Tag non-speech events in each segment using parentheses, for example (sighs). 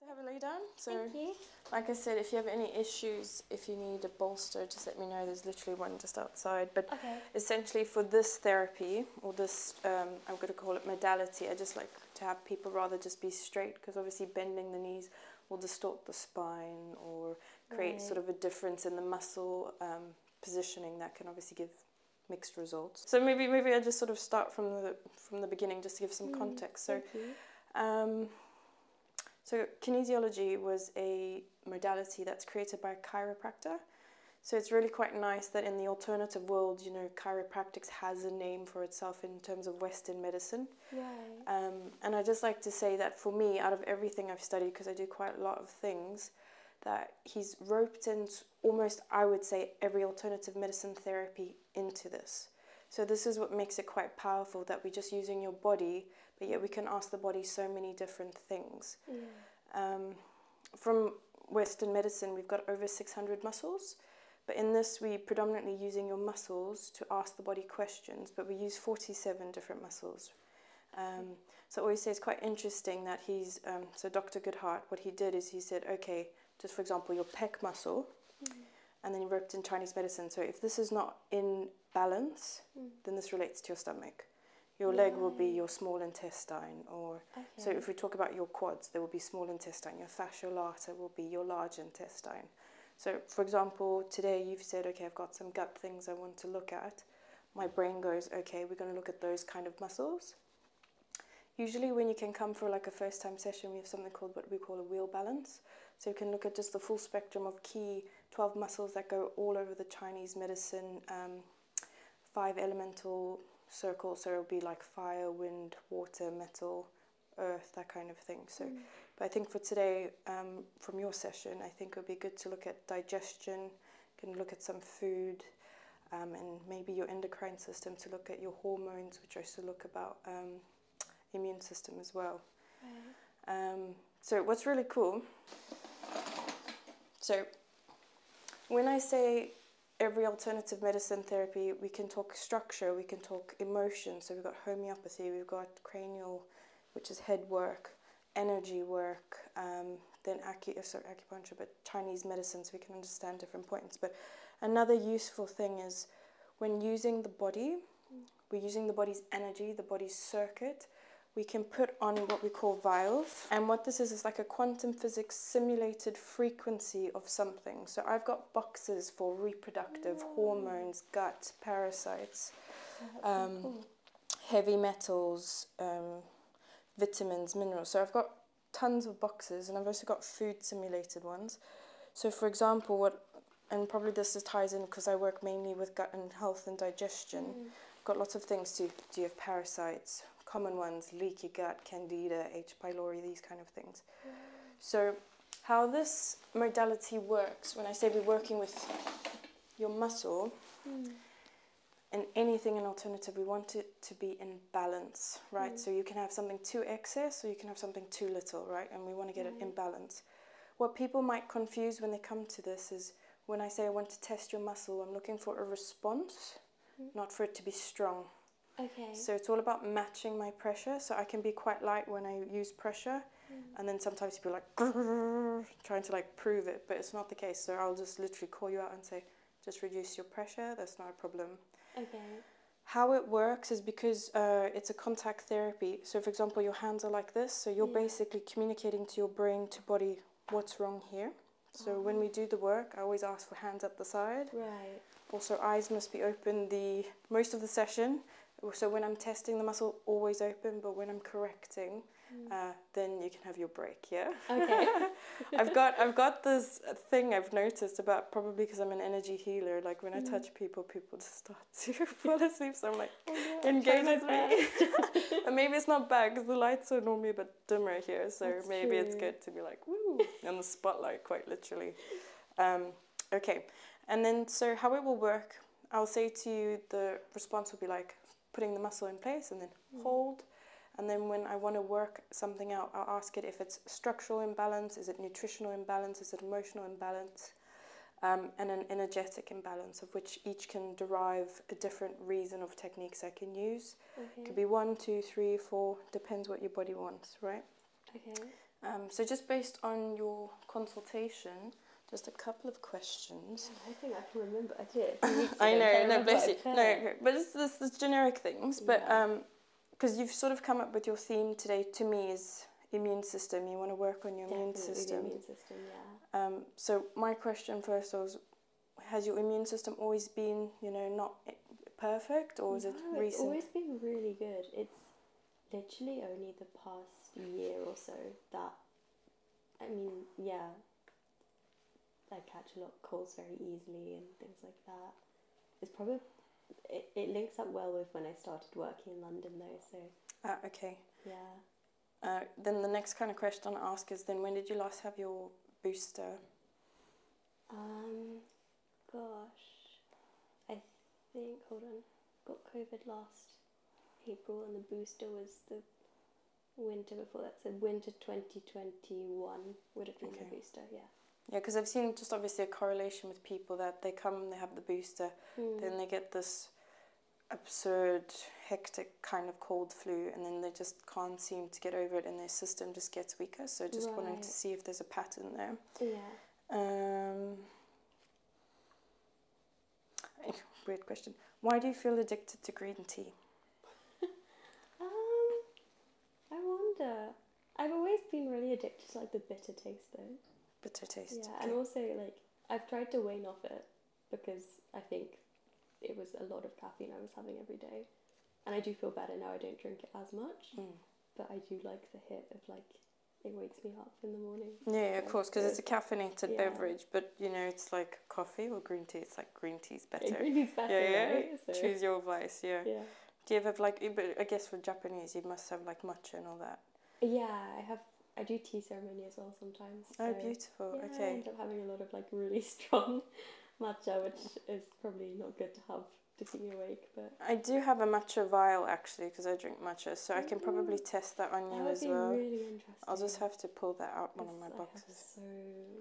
So have a lay down. So, like I said, if you have any issues, if you need a bolster, just let me know. There's literally one just outside. But essentially, for this therapy or this, um, I'm going to call it modality. I just like to have people rather just be straight because obviously bending the knees will distort the spine or create sort of a difference in the muscle um, positioning that can obviously give mixed results. So maybe maybe I just sort of start from the from the beginning just to give some mm, context. So. Um, so kinesiology was a modality that's created by a chiropractor. So it's really quite nice that in the alternative world, you know, chiropractics has a name for itself in terms of Western medicine. Right. Um, and I just like to say that for me, out of everything I've studied, because I do quite a lot of things, that he's roped into almost, I would say, every alternative medicine therapy into this. So this is what makes it quite powerful that we're just using your body, but yet we can ask the body so many different things. Um, from Western medicine, we've got over 600 muscles, but in this, we're predominantly using your muscles to ask the body questions, but we use 47 different muscles. Um, so I always say it's quite interesting that he's, um, so Dr. Goodhart, what he did is he said, okay, just for example, your pec muscle, mm. and then ripped in Chinese medicine. So if this is not in balance, mm. then this relates to your stomach. Your leg will be your small intestine, or so if we talk about your quads, there will be small intestine. Your fascia lata will be your large intestine. So, for example, today you've said, okay, I've got some gut things I want to look at. My brain goes, okay, we're going to look at those kind of muscles. Usually, when you can come for like a first time session, we have something called what we call a wheel balance. So you can look at just the full spectrum of key 12 muscles that go all over the Chinese medicine, um, five elemental circles. So it would be like fire, wind, water, metal, earth, that kind of thing. So, mm. but I think for today, um, from your session, I think it would be good to look at digestion, you can look at some food. Um, and maybe your endocrine system to look at your hormones, which I also look about immune system as well. Um, so what's really cool. So when I say every alternative medicine therapy, we can talk structure, we can talk emotion. So we've got homeopathy, we've got cranial, which is head work, energy work, um, then acu- uh, sorry, acupuncture, but Chinese medicine, so we can understand different points. But another useful thing is when using the body, we're using the body's energy, the body's circuit, we can put on what we call vials. And what this is, is like a quantum physics simulated frequency of something. So I've got boxes for reproductive, hormones, gut, parasites, um, heavy metals, um, vitamins, minerals. So I've got tons of boxes and I've also got food simulated ones. So for example, what and probably this is ties in because I work mainly with gut and health and digestion. Mm. Got lots of things to do you have parasites, common ones, leaky gut, candida, H. pylori, these kind of things. Mm. So, how this modality works, when I say we're working with your muscle mm. and anything in alternative, we want it to be in balance right? Mm. So you can have something too excess or you can have something too little, right? And we want to get right. an imbalance. Mm. What people might confuse when they come to this is when I say I want to test your muscle, I'm looking for a response, mm. not for it to be strong. Okay. So it's all about matching my pressure. So I can be quite light when I use pressure, and then sometimes people like (laughs) trying to like prove it, but it's not the case. So I'll just literally call you out and say, just reduce your pressure. That's not a problem. Okay. How it works is because uh, it's a contact therapy. So, for example, your hands are like this, so you're basically communicating to your brain to body what's wrong here. So, when we ah. do the work, I always ask for hands at the side. Right. Also, eyes must be open the most of the session. So, when I'm testing the muscle, always open, but when I'm correcting, mm. uh, then you can have your break. Yeah. Okay. (laughs) I've got I've got this thing I've noticed about probably because I'm an energy healer. Like when I mm-hmm. touch people people people just start (laughs) to fall asleep. So I'm like, oh, engaged with me. (laughs) and maybe it's not bad because the lights are normally but dimmer here. So maybe it's good to be like, woo, in the spotlight, quite literally. Um, okay. And then, so how it will work, I'll say to you the response will be like putting the muscle in place and then mm. hold. And then when I want to work something out, I'll ask it if it's structural imbalance? Is it nutritional imbalance? Is it emotional imbalance? Um, and an energetic imbalance, of which each can derive a different reason of techniques I can use. Okay. Could be one, two, three, four, depends what your body wants, right? Okay. Um, so, just based on your consultation, just a couple of questions. I think I can remember. (laughs) I did. I know, no, bless you. No, but it's this, this generic things. But um, because you've sort of come up with your theme today to me is immune system. You want to work on your immune system. immune system, yeah. Um, so my question first was, has your immune system always been, you know, not perfect, or is it recent? It's always been really good. It's literally only the past year or so that, I mean, yeah, I catch a lot of colds very easily and things like that. It's probably it, it links up well with when I started working in London though. So. Ah, okay. Yeah. Uh, then the next kind of question I ask is then when did you last have your booster? Um, gosh, I think hold on, got COVID last April, and the booster was the winter before that. So winter twenty twenty one would have been okay. the booster. Yeah. Yeah, because I've seen just obviously a correlation with people that they come, they have the booster, mm. then they get this absurd, hectic kind of cold flu, and then they just can't seem to get over it, and their system just gets weaker. So just wondering to see if there's a pattern there. Yeah. Um, (laughs) weird question. Why do you feel addicted to green tea? (laughs) um, I wonder. I've always been really addicted to like the bitter taste though. Bitter taste. Yeah, and also like I've tried to wean off it because I think it was a lot of caffeine I was having every day, and I do feel better now. I don't drink it as much, hmm. but I do like the hit of like it wakes me up in the morning. Yeah, of course, because it's a caffeinated beverage, but you know it's like coffee or green tea. It's like green tea is better. Yeah, Choose your vice. Yeah. Do you have like? But I guess for Japanese, you must have like matcha and all that. Yeah, I have. I do tea ceremony as well sometimes. Oh, so, oh, beautiful. Yeah, I end up having a lot of like really (laughs) strong matcha, which is probably not good to have to keep me awake. But I do have a matcha vial actually because I drink matcha, so I can probably mm-hmm. test that on you as well. Really I'll just have to pull that out one of my boxes. so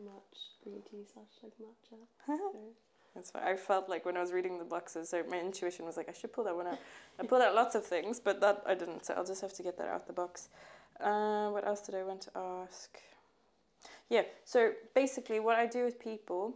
much green tea slash like matcha. (laughs) That's why I felt like when I was reading the boxes, my intuition was like, I should pull that one out. I pulled out lots of things, but that I didn't, so I'll just have to get that out the box. Uh, what else did I want to ask? Yeah, so basically, what I do with people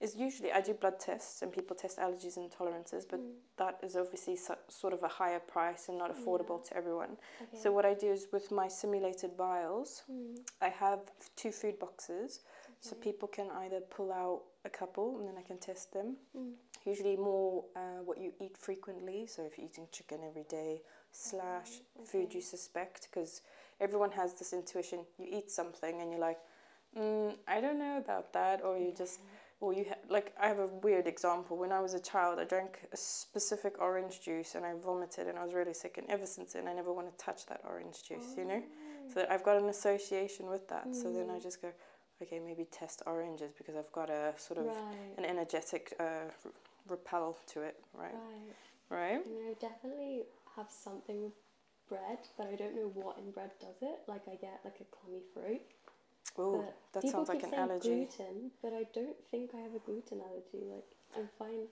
is usually I do blood tests and people test allergies and tolerances, but mm. that is obviously sort of a higher price and not affordable to everyone. Okay. So, what I do is with my simulated vials, mm. I have two food boxes so people can either pull out a couple and then I can test them. Mm. Usually more uh, what you eat frequently, so if you're eating chicken every day, slash mm, food you suspect, because everyone has this intuition. You eat something and you're like, mm, I don't know about that, or you just, mm-hmm. or you like. I have a weird example. When I was a child, I drank a specific orange juice and I vomited and I was really sick. And ever since then, I never want to touch that orange juice, you know? So I've got an association with that. So then I mm. just go, okay, maybe test oranges because I've got a sort of an energetic uh, repel to it, right? Right. Right. definitely have something with bread, but I don't know what in bread does it. Like I get like a clammy throat. Oh, that sounds like an allergy. Gluten, but I don't think I have a gluten allergy. Like I'm fine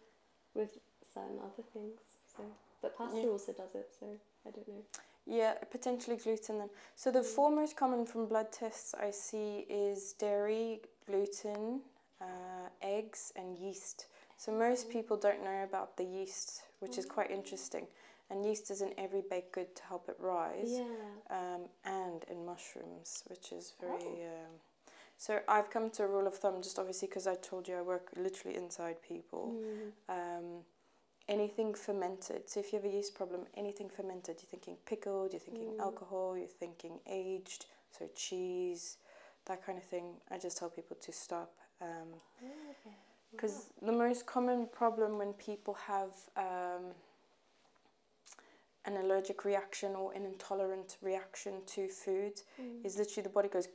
with certain other things. So, but pasta also does it. So I don't know. Yeah, potentially gluten then. So the mm. four most common from blood tests I see is dairy, gluten, uh, eggs, and yeast. So most mm. people don't know about the yeast, which is mm. quite interesting. And yeast is in every baked good to help it rise, yeah. um, and in mushrooms, which is very. Oh. Um, so I've come to a rule of thumb, just obviously because I told you I work literally inside people. Um, anything fermented. So if you have a yeast problem, anything fermented, you're thinking pickled, you're thinking mm. alcohol, you're thinking aged, so cheese, that kind of thing. I just tell people to stop. Um, because the most common problem when people have um, an allergic reaction or an intolerant reaction to food mm. is literally the body goes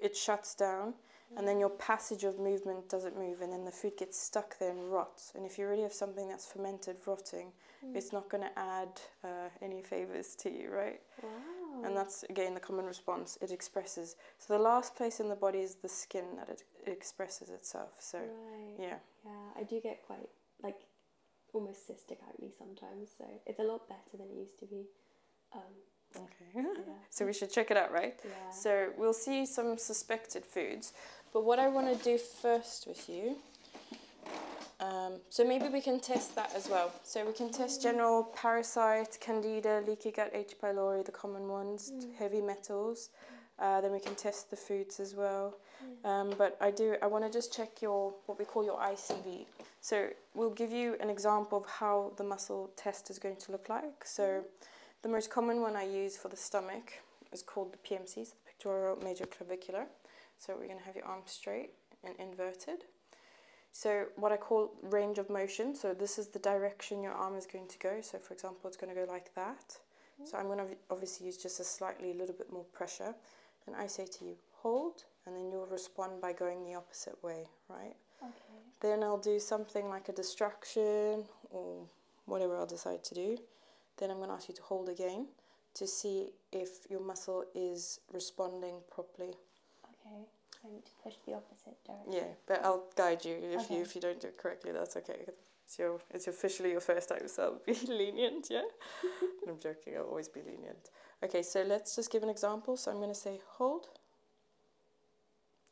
it shuts down and then your passage of movement doesn't move and then the food gets stuck there and rots and if you really have something that's fermented rotting mm. it's not going to add uh, any favors to you right wow. and that's again the common response it expresses so the last place in the body is the skin that it, expresses itself so yeah yeah i do get quite like almost cystic acne sometimes so it's a lot better than it used to be um, okay. (laughs) So we should check it out, right? Yeah. So we'll see some suspected foods. But what I want to do first with you, um, so maybe we can test that as well. So we can test mm. general parasite, candida, leaky gut, H. pylori, the common ones, mm. heavy metals. Mm. Uh, then we can test the foods as well. Um, but I do, I want to just check your, what we call your ICV. So we'll give you an example of how the muscle test is going to look like. So the most common one I use for the stomach is called the PMCs, the pectoral major clavicular. So we're going to have your arm straight and inverted. So what I call range of motion, so this is the direction your arm is going to go. So for example, it's going to go like that. So I'm going to obviously use just a slightly a little bit more pressure. And I say to you, hold, and then you'll respond by going the opposite way, right? Then I'll do something like a distraction or whatever I'll decide to do. Then I'm going to ask you to hold again to see if your muscle is responding properly. Okay. So push the opposite direction. Yeah, but I'll guide you if you if you don't do it correctly. That's okay. It's your it's officially your first time, so be (laughs) lenient. Yeah, (laughs) I'm joking. I'll always be lenient. Okay, so let's just give an example. So I'm going to say hold.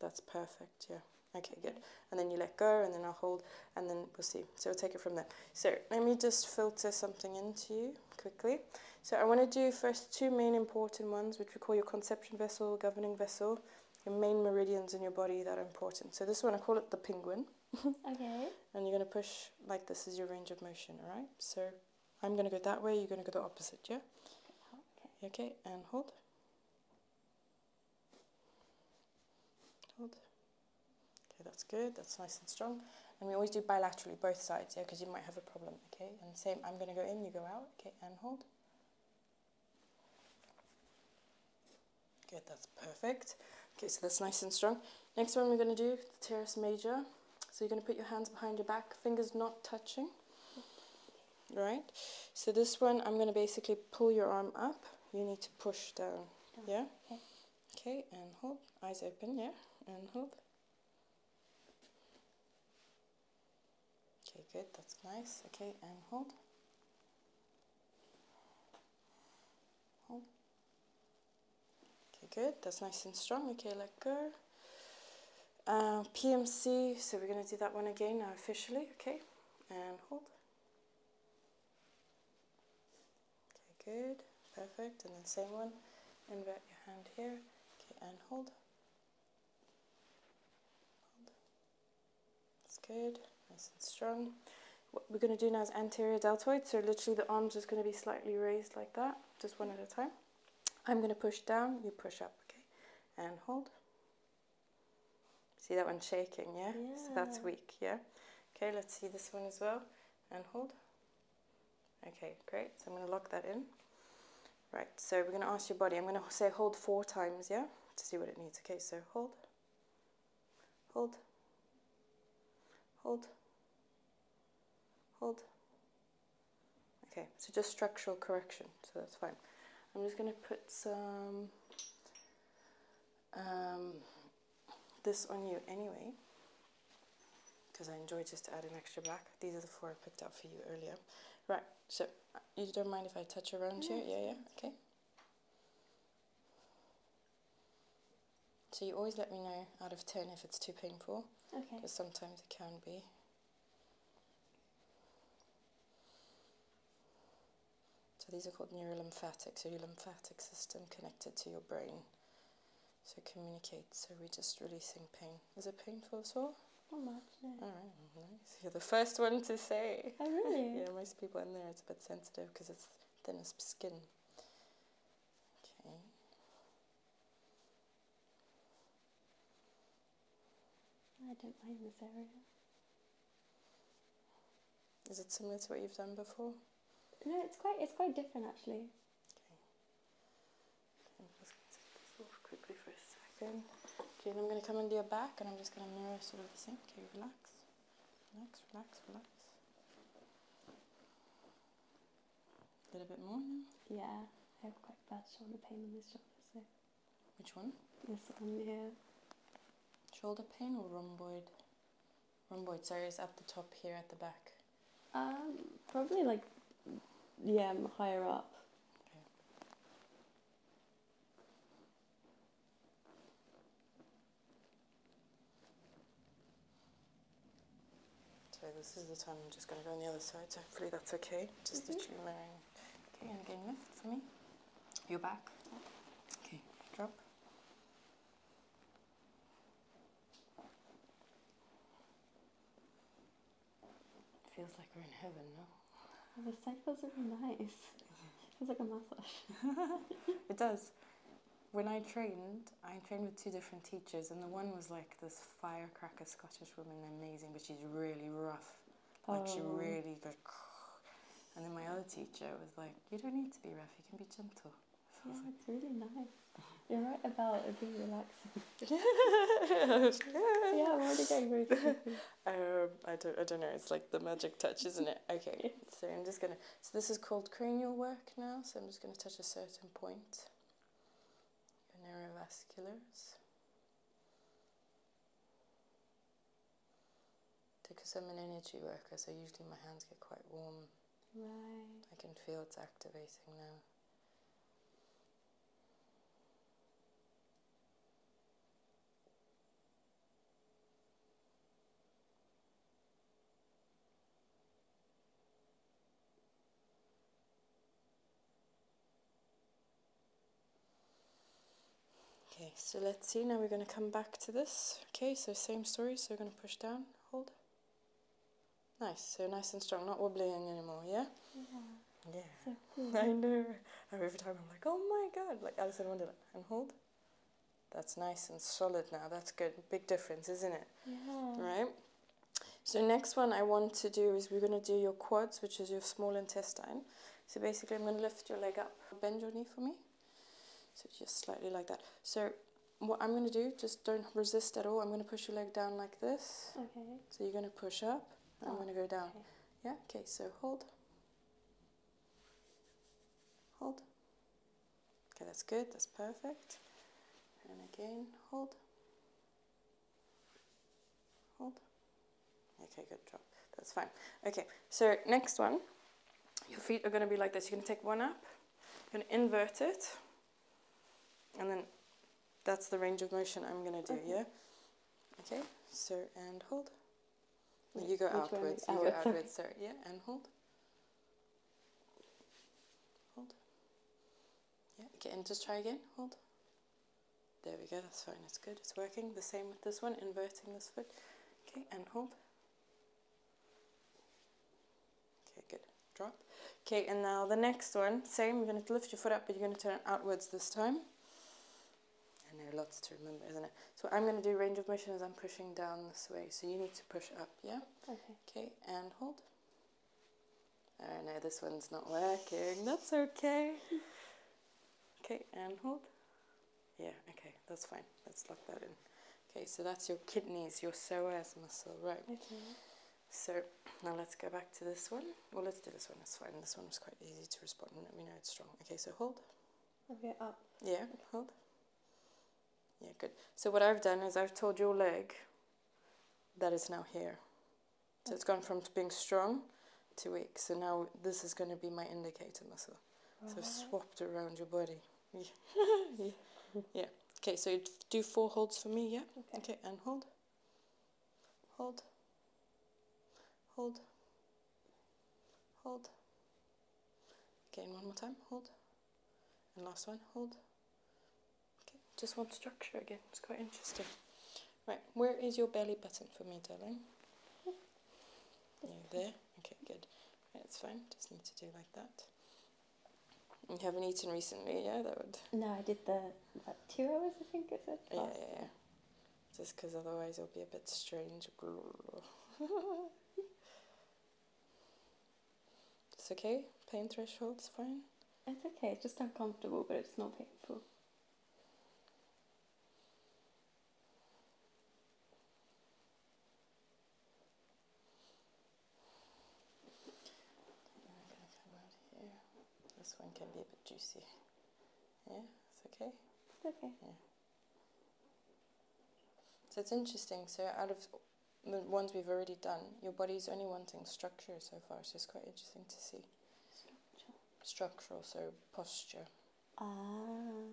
That's perfect, yeah. Okay, good. And then you let go, and then I'll hold, and then we'll see. So we'll take it from there. So let me just filter something into you quickly. So I want to do first two main important ones, which we call your conception vessel, governing vessel, your main meridians in your body that are important. So this one, I call it the penguin. (laughs) okay. And you're going to push like this is your range of motion, all right? So I'm going to go that way, you're going to go the opposite, yeah? Okay. Okay, and hold. Hold. Okay, that's good. That's nice and strong. And we always do bilaterally, both sides, yeah, because you might have a problem, okay? And same, I'm going to go in, you go out, okay, and hold. Good, that's perfect. Okay, so that's nice and strong. Next one we're going to do, the teres major. So you're going to put your hands behind your back, fingers not touching right? So this one, I'm going to basically pull your arm up. You need to push down, oh, yeah? Okay. okay, and hold. Eyes open, yeah? And hold. Okay, good. That's nice. Okay, and hold. Hold. Okay, good. That's nice and strong. Okay, let go. Uh, PMC, so we're going to do that one again now officially, okay, and hold. Okay, good, perfect, and the same one, invert your hand here, okay, and hold. hold. That's good, nice and strong. What we're going to do now is anterior deltoid, so literally the arm's just going to be slightly raised like that, just one at a time. I'm going to push down, you push up, okay, and hold. See that one shaking, yeah? So that's weak, yeah? Okay, let's see this one as well. And hold. Okay, great. So I'm going to lock that in. Right, so we're going to ask your body. I'm going to say hold four times, yeah? To see what it needs. Okay, so hold. Hold. Hold. Hold. Okay, so just structural correction so that's fine. I'm just going to put some um, this on you anyway, because I enjoy just adding extra black. These are the four I picked up for you earlier. Right, so uh, you don't mind if I touch around here? Yeah, yeah, okay. So you always let me know out of 10 if it's too painful. Okay. Because sometimes it can be. So these are called neurolymphatics, so your lymphatic system connected to your brain. So communicate, so we're just releasing pain. Is it painful at all? Not much, All right, nice. You're the first one to say. Oh, really? (laughs) yeah, most people in there, it's a bit sensitive because it's thinnest skin. Okay. I don't mind this area. Is it similar to what you've done before? No, it's quite it's quite different actually. Okay. I'm just going to take this off quickly for a second. Okay, I'm going to come under your back, and I'm just going to mirror sort of the same. Okay, relax, relax, relax, relax. A little bit more Yeah, I have quite bad shoulder pain in this shoulder, so. Which one? This one, here. Shoulder pain or rhomboid? Rhomboid, sorry, it's at the top here at the back. Um, probably like, yeah, higher up. Okay. So this is the time I'm just going to go on the other side, so hopefully that's okay. Just mm -hmm. the literally mirroring. Okay, and again lift for me. Your back. Okay, drop. Feels like we're in heaven, no? The cycles are nice. It mm-hmm. feels like a massage. (laughs) it does. When I trained, I trained with two different teachers, and the one was like this firecracker Scottish woman, amazing, but she's really rough. Like oh. she really goes, and then my other teacher was like, "You don't need to be rough. You can be gentle." So it's really nice. You're right about it being relaxing. (laughs) (laughs) yeah, I'm already getting very sleepy. (laughs) Um, I don't, I don't know. It's like the magic touch, isn't it? Okay, so I'm just gonna. So this is called cranial work now. So I'm just gonna touch a certain point. Your neurovasculars. Because I'm an energy worker, so usually my hands get quite warm. Right. I can feel it's activating now. Okay, so let's see, now we're going to come back to this. Okay, so same story, so we're going to push down, hold. Nice, so nice and strong, not wobbling anymore, yeah? Yeah. (laughs) I know. Every time I'm like, oh my god, like Alice in Wonderland. And hold. That's nice and solid now, that's good. Big difference, isn't it? Yeah. Right? So next one I want to do is we're going to do your quads, which is your small intestine. So basically I'm going to lift your leg up. Bend your knee for me. So just slightly like that. So what I'm going to do, just don't resist at all. I'm going to push your leg down like this. Okay. So you're going to push up. I'm oh, going to go down. Okay. Yeah? Okay, so hold. Hold. Okay, that's good. That's perfect. And again, hold. Hold. Okay, good job. That's fine. Okay, so next one, your feet are going to be like this. You're going to take one up, you're going to invert it, and then that's the range of motion I'm going to do, here. Okay, so and hold. You go outwards, you go outwards, (laughs) So Yeah, and hold. Hold. Yeah, okay, just try again. Hold. There we go, that's fine, it's good, it's working. The same with this one, inverting this foot. Okay, and hold. Okay, good, drop. Okay, and now the next one, same, you're going to lift your foot up, but you're going to turn it outwards this time. And know, lots to remember, isn't it? So I'm going to do range of motion as I'm pushing down this way, so you need to push up, yeah? Okay. Okay, and hold. Oh no, this one's not working, that's okay. Okay, and hold. Yeah, okay, that's fine. Let's lock that in. Okay, so that's your kidneys, your psoas muscle, right? Okay. Mm-hmm. So now let's go back to this one. Well, let's do this one. That's fine. This one was quite easy to respond. We know it's strong. Okay, so hold. Okay, up. Yeah, hold. Yeah, good. So what I've done is I've told your leg that is now here. So okay. it's gone from being strong two weeks. So now this is going to be my indicator muscle. So swapped around your body. (laughs) yeah. Okay, so do four holds for me, yeah? Okay. and hold. Hold. Hold. Hold. Again, one more time. Hold. And last one. Hold. Okay, just one structure again. It's quite interesting. Right, where is your belly button for me, darling? there. Okay, good. it's fine. Just need to do like that. You haven't eaten recently, yeah? That would. No, I did the two hours. I think it said. Yeah, yeah, yeah. Just because otherwise it'll be a bit strange. (laughs) it's okay. Pain threshold's fine. It's okay. It's just uncomfortable, but it's not painful. This one can be a bit juicy. Yeah, it's okay. okay. So it's interesting. So out of the ones we've already done, your body's only wanting structure so far. So it's quite interesting to see. Structure. Structural, so posture. Ah,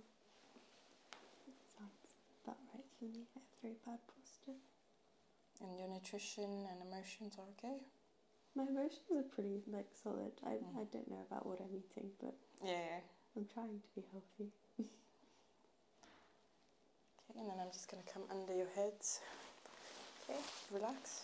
sounds about right for me. I have posture. And your nutrition and emotions are okay? My emotions are pretty like solid. I, hmm. I don't know about what I'm eating, but yeah, I'm trying to be healthy. okay, and then I'm just going to come under your head. Okay, relax.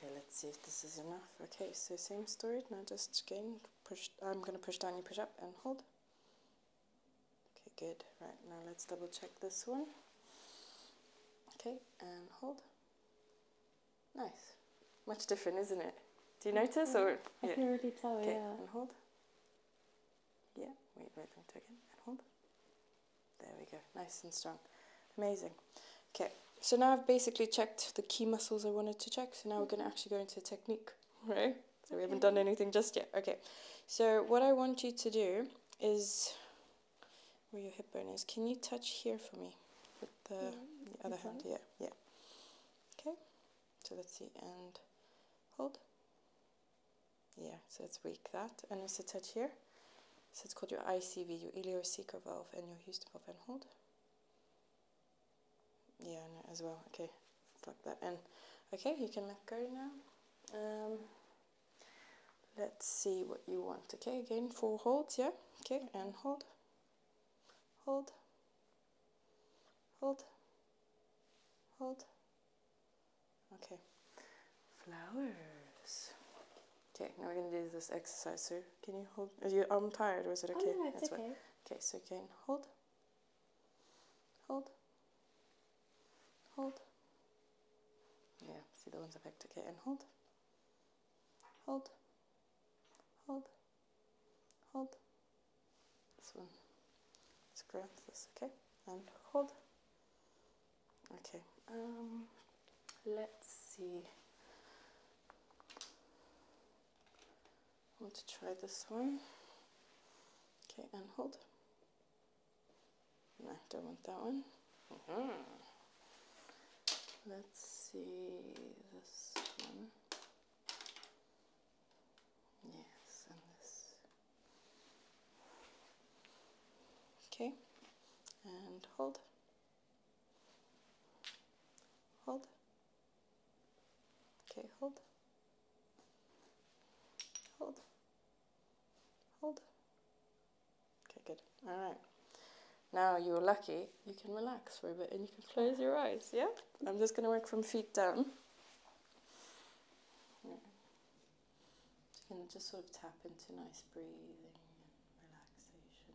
Okay, let's see if this is enough. Okay, so same story. Now just again, push. I'm gonna push down, you push up, and hold. Okay, good. Right now, let's double check this one. Okay, and hold. Nice. Much different, isn't it? Do you notice or? Mm-hmm. I yeah. can really tell, okay. yeah. hold. Yeah, wait, wait, wait again. And hold. There we go. Nice and strong. Amazing. Okay, so now I've basically checked the key muscles I wanted to check. So now we're going to mm-hmm. actually go into technique, right? So we haven't done anything just yet. Okay, so what I want you to do is where your hip bone is. Can you touch here for me with the, yeah, other hand? Yeah, yeah. Okay, so let's see, and hold. Yeah, so let's weak that, and also touch here. So it's called your ICV, your ileocecal valve, and your Houston valve, and hold. Yeah, as well. Okay, it's like that, and okay, you can let go now. Um, let's see what you want. Okay, again, four holds. Yeah. Okay, and hold hold, hold, hold. Okay, flowers. Okay, now we're gonna do this exercise here. Can you hold? You, I'm tired. Was it oh, okay? That's okay. What, okay, so you can hold, hold, hold. Yeah, see the ones I picked. Okay, and hold, hold, hold, hold. This one. Let's grab this, okay? And hold. Okay. Um, let's see. I want to try this one. Okay, and hold. No, I don't want that one. -hmm. Let's see this one. Yes, and this. Okay, and hold. Hold. Okay, hold. Hold. Hold. Okay, good. All right. Now you're lucky, you can relax for a bit and you can close your eyes, yeah? I'm just going to work from feet down. Yeah. you can just sort of tap into nice breathing. and relaxation.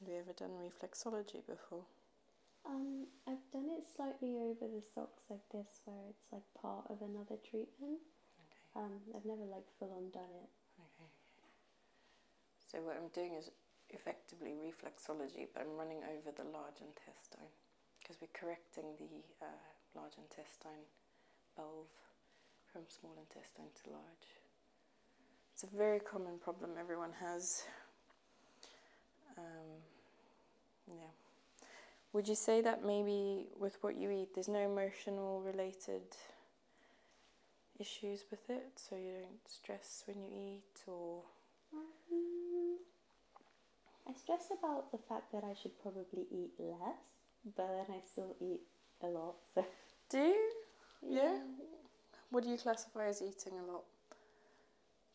Have you ever done reflexology before? Um, I've done it slightly over the socks like this, where it's like part of another treatment. Um, I've never like full on done it. Okay. So what I'm doing is effectively reflexology, but I'm running over the large intestine because we're correcting the uh, large intestine valve from small intestine to large. It's a very common problem everyone has. Um, yeah. Would you say that maybe with what you eat, there's no emotional related issues with it, so you don't stress when you eat or? Mm-hmm. I stress about the fact that I should probably eat less, but then I still eat a lot. So. Do yeah. What do you classify as eating a lot?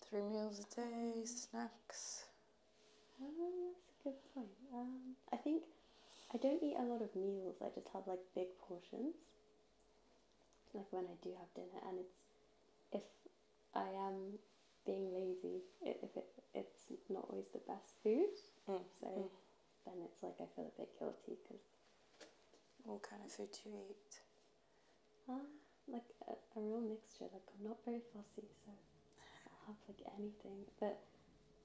three meals a day, snacks. Oh, that's a good point. Um, I think I don't eat a lot of meals. I just have like big portions, like when I do have dinner, and it's if I am being lazy, it, if it it's not always the best food, mm, so mm. then it's like I feel a bit guilty because. What kind of food to eat? uh, like a, a real mixture. Like I'm not very fussy, so I'll have like anything. But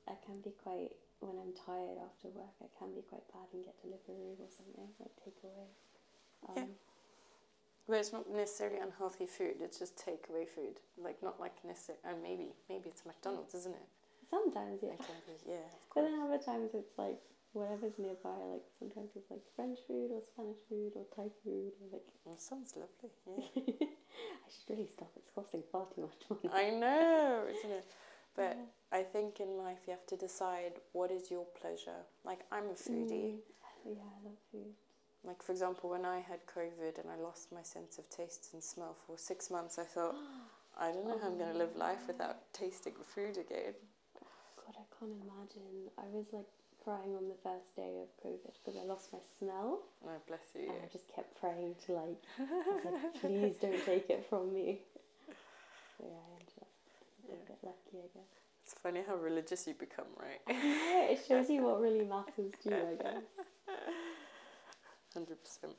I can be quite when I'm tired after work. I can be quite bad and get delivery or something like takeaway. Um, yeah. it's not necessarily unhealthy food. It's just takeaway food. Like not like necessarily. And oh, maybe maybe it's McDonald's, isn't it? Sometimes yeah. Be, yeah. (laughs) But then other times it's like whatever's nearby, like sometimes it's like French food or Spanish food or Thai food like Oh, sounds lovely, (laughs) I should really stop, it's costing far too much money. I know, (laughs) isn't it? But I think in life you have to decide what is your pleasure. Like I'm a foodie. Mm, yeah, I love food. Like for example, when I had COVID and I lost my sense of taste and smell for six months, I thought (gasps) I don't know how I'm going to live life oh. without tasting food again. God, I can't imagine. I was like crying on the first day of COVID because I lost my smell. Oh, bless you. And I just kept praying to like, (laughs) please don't take it from me. So I ended a bit lucky, I guess. It's funny how religious you become, right? it shows you what really matters to you, I guess. (laughs) Hundred percent.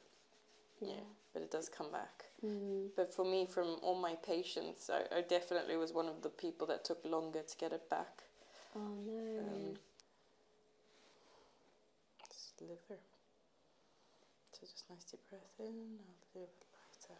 yeah, but it does come back. Mm. But for me, from all my patients, I, definitely was one of the people that took longer to get it back. Oh no. Um, liver. So just nice deep breath in, A little bit lighter.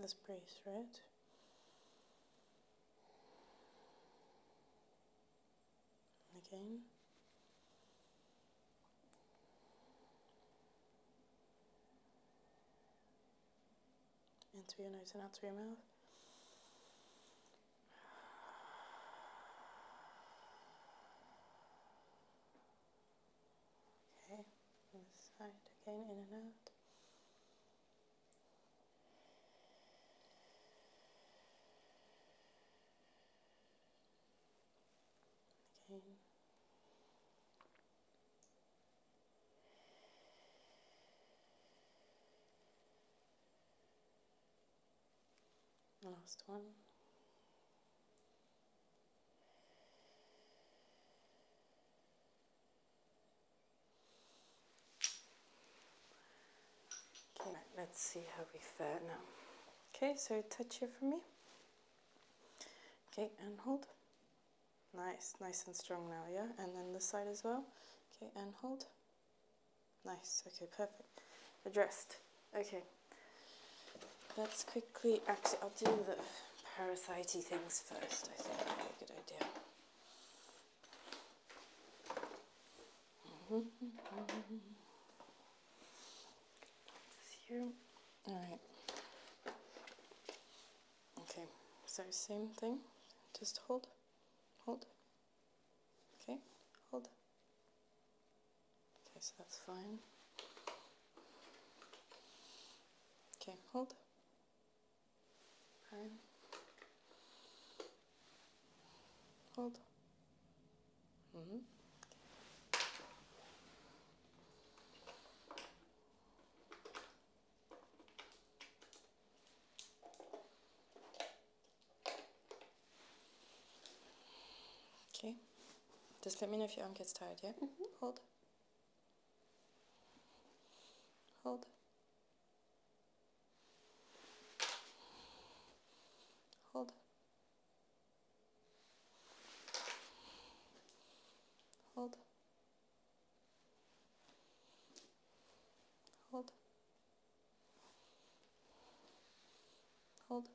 this brace, right? Again. Into your nose and out through your mouth. Okay, on side again, in and out. Last one. Okay, let's see how we fare now. Okay, so touch here for me. Okay, and hold. Nice, nice and strong now, yeah? And then this side as well. Okay, and hold. Nice, okay, perfect. Addressed. Okay. Let's quickly, actually, I'll do the parasite things first, I think. Okay, good idea. Mm -hmm. This (laughs) here all right okay so same thing just hold hold okay hold okay so that's fine okay hold fine hold Okay. Just let me know if your arm gets tired, yeah? Mhm. Hold. Hold. Hold. Hold. Hold. Hold.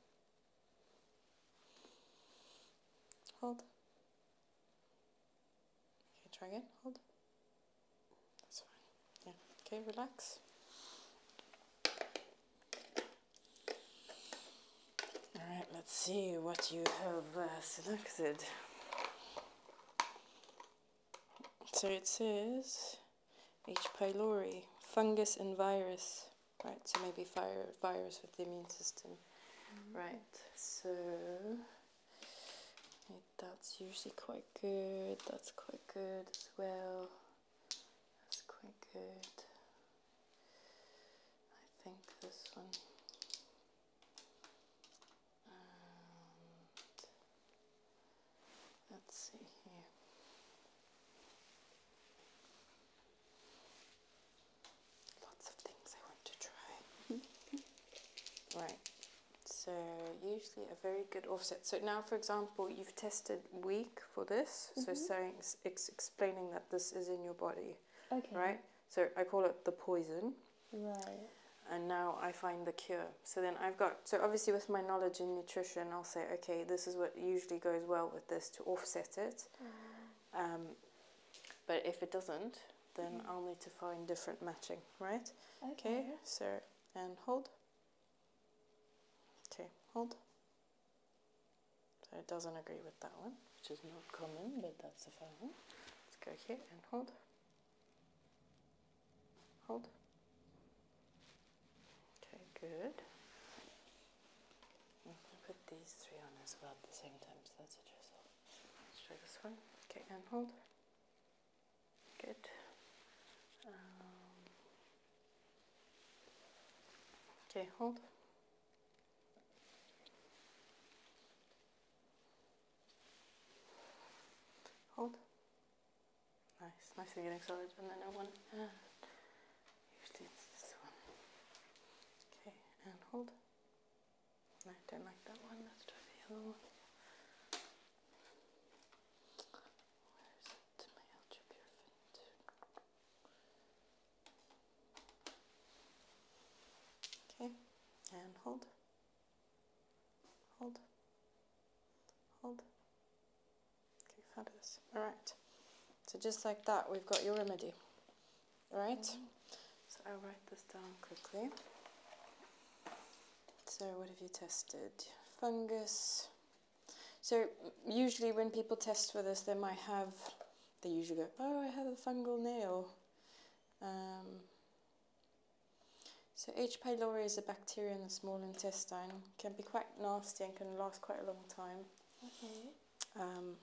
Hold. Okay, try again. Hold. That's fine. Yeah. Okay, relax. Alright, let's see what you have uh, selected. So it says H. pylori, fungus and virus. Right, so maybe fire, virus with the immune system. Mm-hmm. Right, so that's usually quite good. That's quite good as well. That's quite good. I think this one. Um, let's see here. Lots of things I want to try. (laughs) right. So usually a very good offset. So now, for example, you've tested weak for this. So mm-hmm. saying, it's explaining that this is in your body. Okay. Right? So I call it the poison. Right. And now I find the cure. So then I've got, so obviously with my knowledge in nutrition, I'll say, okay, this is what usually goes well with this to offset it. Mm. Um, but if it doesn't, then mm-hmm. I'll need to find different matching, right? Okay. okay so, and hold. Okay, hold. So it doesn't agree with that one, which is not common, but that's the fun one. Let's go here and hold. Hold. Okay, good. I'm mm, put these three on as well at the same time, so that's a drizzle. Let's try this one. Okay, and hold. Good. Um, okay, hold. Hold. Nice, thing getting solid. And then I want, and usually it's this one. Okay, and hold. I don't like that one. Let's try the other one. Okay, and hold, hold, hold. Okay, fabulous. All right. So just like that, we've got your remedy. All right. So I'll write this down quickly. So what have you tested? Fungus. So usually when people test for this, they might have they usually go, oh, I have a fungal nail. Um, so H. pylori is a bacteria in the small intestine, can be quite nasty and can last quite a long time. Okay. Um,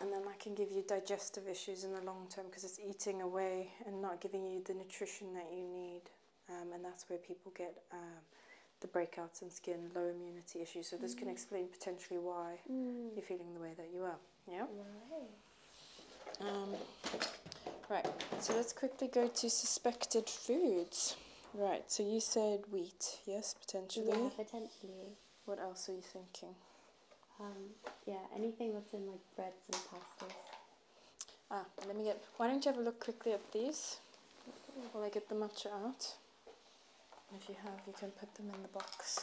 and then that can give you digestive issues in the long term because it's eating away and not giving you the nutrition that you need. Um, and that's where people get the breakouts and skin, low immunity issues. So this can mm. explain potentially why mm. you're feeling the way that you are. Yeah. Um, right. So let's quickly go to suspected foods. Right. So you said wheat. Yes, potentially. Yeah, potentially. What else are you thinking? Um, yeah, anything that's in like breads and pastas. Ah, let me get. Why don't you have a look quickly at these while I get the matcha out? If you have, you can put them in the box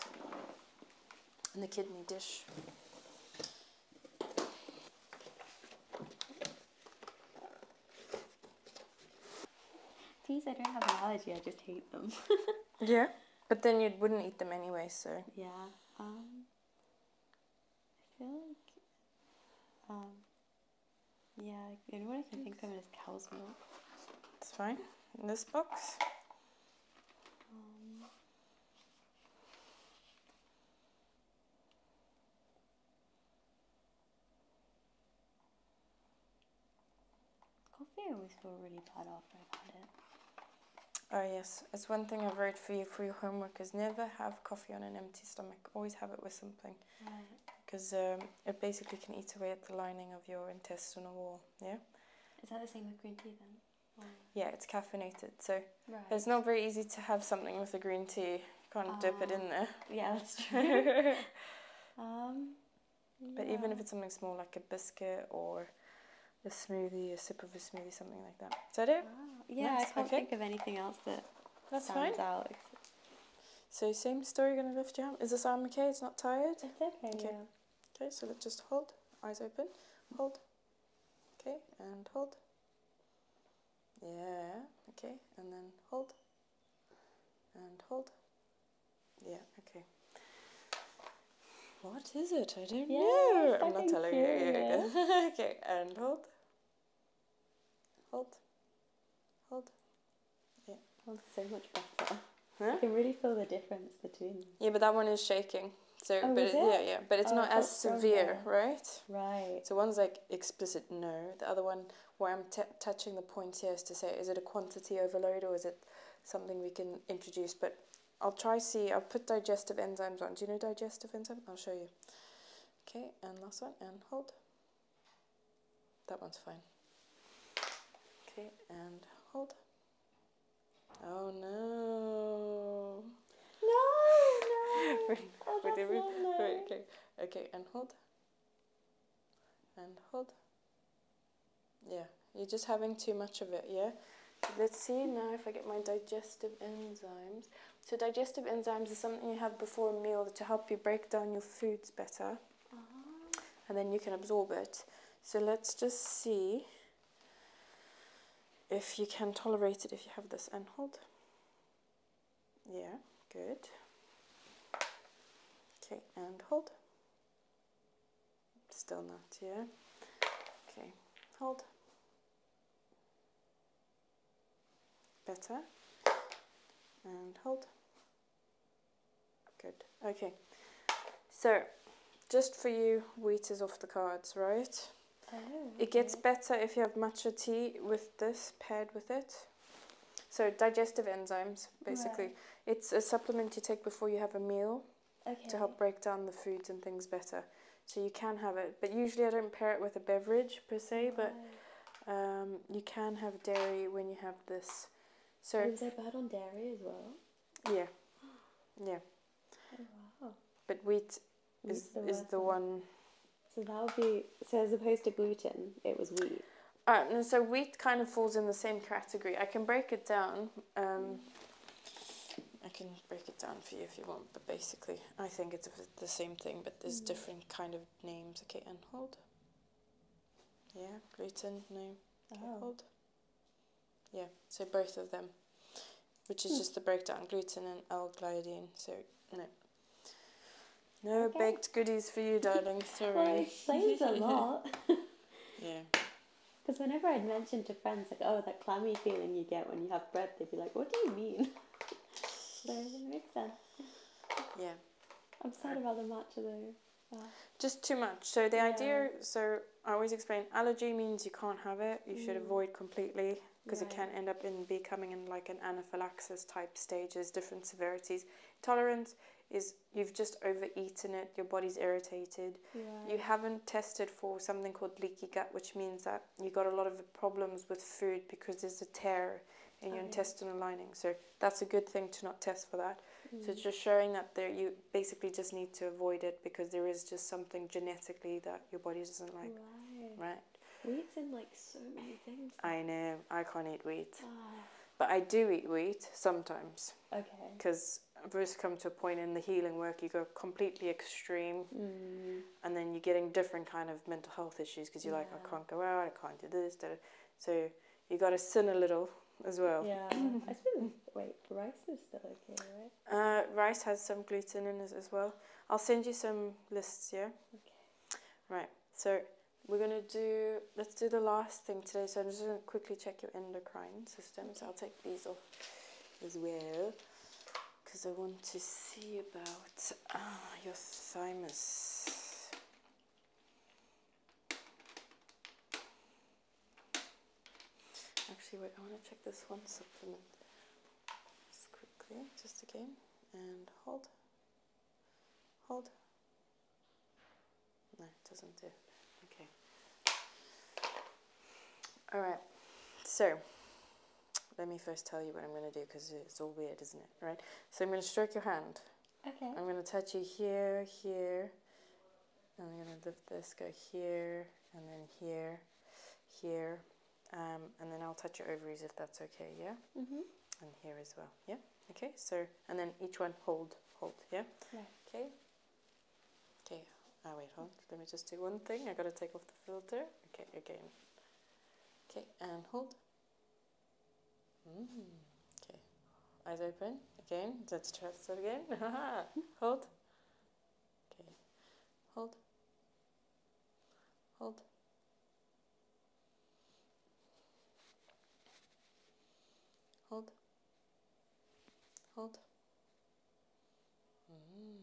in the kidney dish. Please, I don't have an allergy, I just hate them. (laughs) yeah, but then you wouldn't eat them anyway, so. Yeah. Um, I feel like um, yeah, the only one I can think of is cow's milk. It's fine. In this box. coffee I always feel really bad after I've had it. Oh yes, it's one thing I wrote for you for your homework is never have coffee on an empty stomach. Always have it with something because um, it basically can eat away at the lining of your intestinal wall. Yeah. Is that the same with green tea then? Yeah, it's caffeinated, so it's not very easy to have something with a green tea. You can't dip it in ah. there. Yeah, that's (laughs) true. Um, but even if it's something small like a biscuit or a smoothie, a sip of a smoothie, something like that. Is that it? Wow. Yeah, nice. I can't think of anything else that that's stands fine. out. So same story, gonna lift your arm. Is this arm okay? It's not tired? okay. Okay. Okay, so let's just hold, eyes open, hold. Okay, and hold. Yeah, okay, and then hold. And hold. Yeah, okay. What is it? I don't yeah, know. I'm not telling you. (laughs) okay, and hold. Hold. Hold. Yeah, feels so much better. Huh? I can really feel the difference between. Yeah, but that one is shaking. So, oh, but yeah, yeah, but it's oh, not as severe, right? Right. So one's like explicit no. The other one, where I'm touching the points here, is to say, is it a quantity overload or is it something we can introduce? But I'll try see. I'll put digestive enzymes on. Do you know digestive enzyme? I'll show you. Okay, and last one, and hold. That one's fine. Okay, and hold. Oh no. No, (laughs) oh, no. wait, okay. Okay, and hold. And hold. Yeah, you're just having too much of it, yeah? Let's see now if I get my digestive enzymes. So digestive enzymes is something you have before a meal to help you break down your foods better. Uh-huh. And then you can absorb it. So let's just see if you can tolerate it if you have this and hold. Yeah, good. Okay, and hold. Still not, yeah. Okay, hold. Better. And hold. Good. Okay. So, just for you, wheat is off the cards, right? Oh, It gets better if you have matcha tea with this paired with it. So digestive enzymes, basically. It's a supplement you take before you have a meal to help break down the foods and things better. So you can have it, but usually I don't pair it with a beverage per se. But um, you can have dairy when you have this so is there bad on dairy as well? Yeah, yeah. Oh, wow. But wheat is the is the one. So that would be so as opposed to gluten, it was wheat. Alright, uh, so wheat kind of falls in the same category. I can break it down. Um, I can break it down for you if you want, but basically, I think it's the same thing, but there's mm. different kind of names. Okay, and hold. Yeah, gluten, no. Oh. cold. Yeah, so both of them, which is hmm. just the breakdown gluten and L gliadine. So, no. No baked goodies for you, darling. (laughs) Sorry. well, it a lot. (laughs) (laughs) yeah. Because whenever I'd mentioned to friends, like, oh, that clammy feeling you get when you have bread, they'd be like, what do you mean? so it makes sense. Yeah. I'm sad about the matcha though. Just too much. So the idea, so I always explain, allergy means you can't have it. You should mm. avoid completely because it can end up in becoming in like an anaphylaxis type stages, different severities. Tolerance is you've just overeaten it, your body's irritated. You haven't tested for something called leaky gut, which means that you got a lot of problems with food because there's a tear in your oh, intestinal lining. So that's a good thing to not test for that. So mm. just showing that there, you basically just need to avoid it because there is just something genetically that your body doesn't like. Right. right. Wheat's in like so many things. I know. I can't eat wheat. Ah. But I do eat wheat sometimes. Okay. Because I've come to a point in the healing work, you go completely extreme, mm. and then you're getting different kind of mental health issues because you're like, I can't go out, I can't do this. Da, So you got to sin a little as well. Yeah, (clears throat) I think wait, rice is still okay, right? Uh, rice has some gluten in it as well. I'll send you some lists, here. Right. So we're gonna do let's do the last thing today. So I'm just gonna quickly check your endocrine system. I'll take these off as well because I want to see about ah, your thymus. Actually, wait, I want to check this one supplement just quickly, just again, and hold, hold. No, it doesn't do. Okay. All right. So let me first tell you what I'm going to do because it's all weird, isn't it? Right. So I'm going to stroke your hand. Okay. I'm going to touch you here, here. I'm going to lift this, go here, and then here, here. Um, and then I'll touch your ovaries if that's okay, yeah? hmm And here as well, yeah? Okay, so, and then each one hold, hold, yeah? yeah. Okay. Okay, oh, wait, hold. Let me just do one thing. i got to take off the filter. Okay, again. Okay, and hold. Mm-hmm. okay. Eyes open. Again. Let's try this again. (laughs) Hold. Okay. Hold. Hold. Hold. Hold. Mm.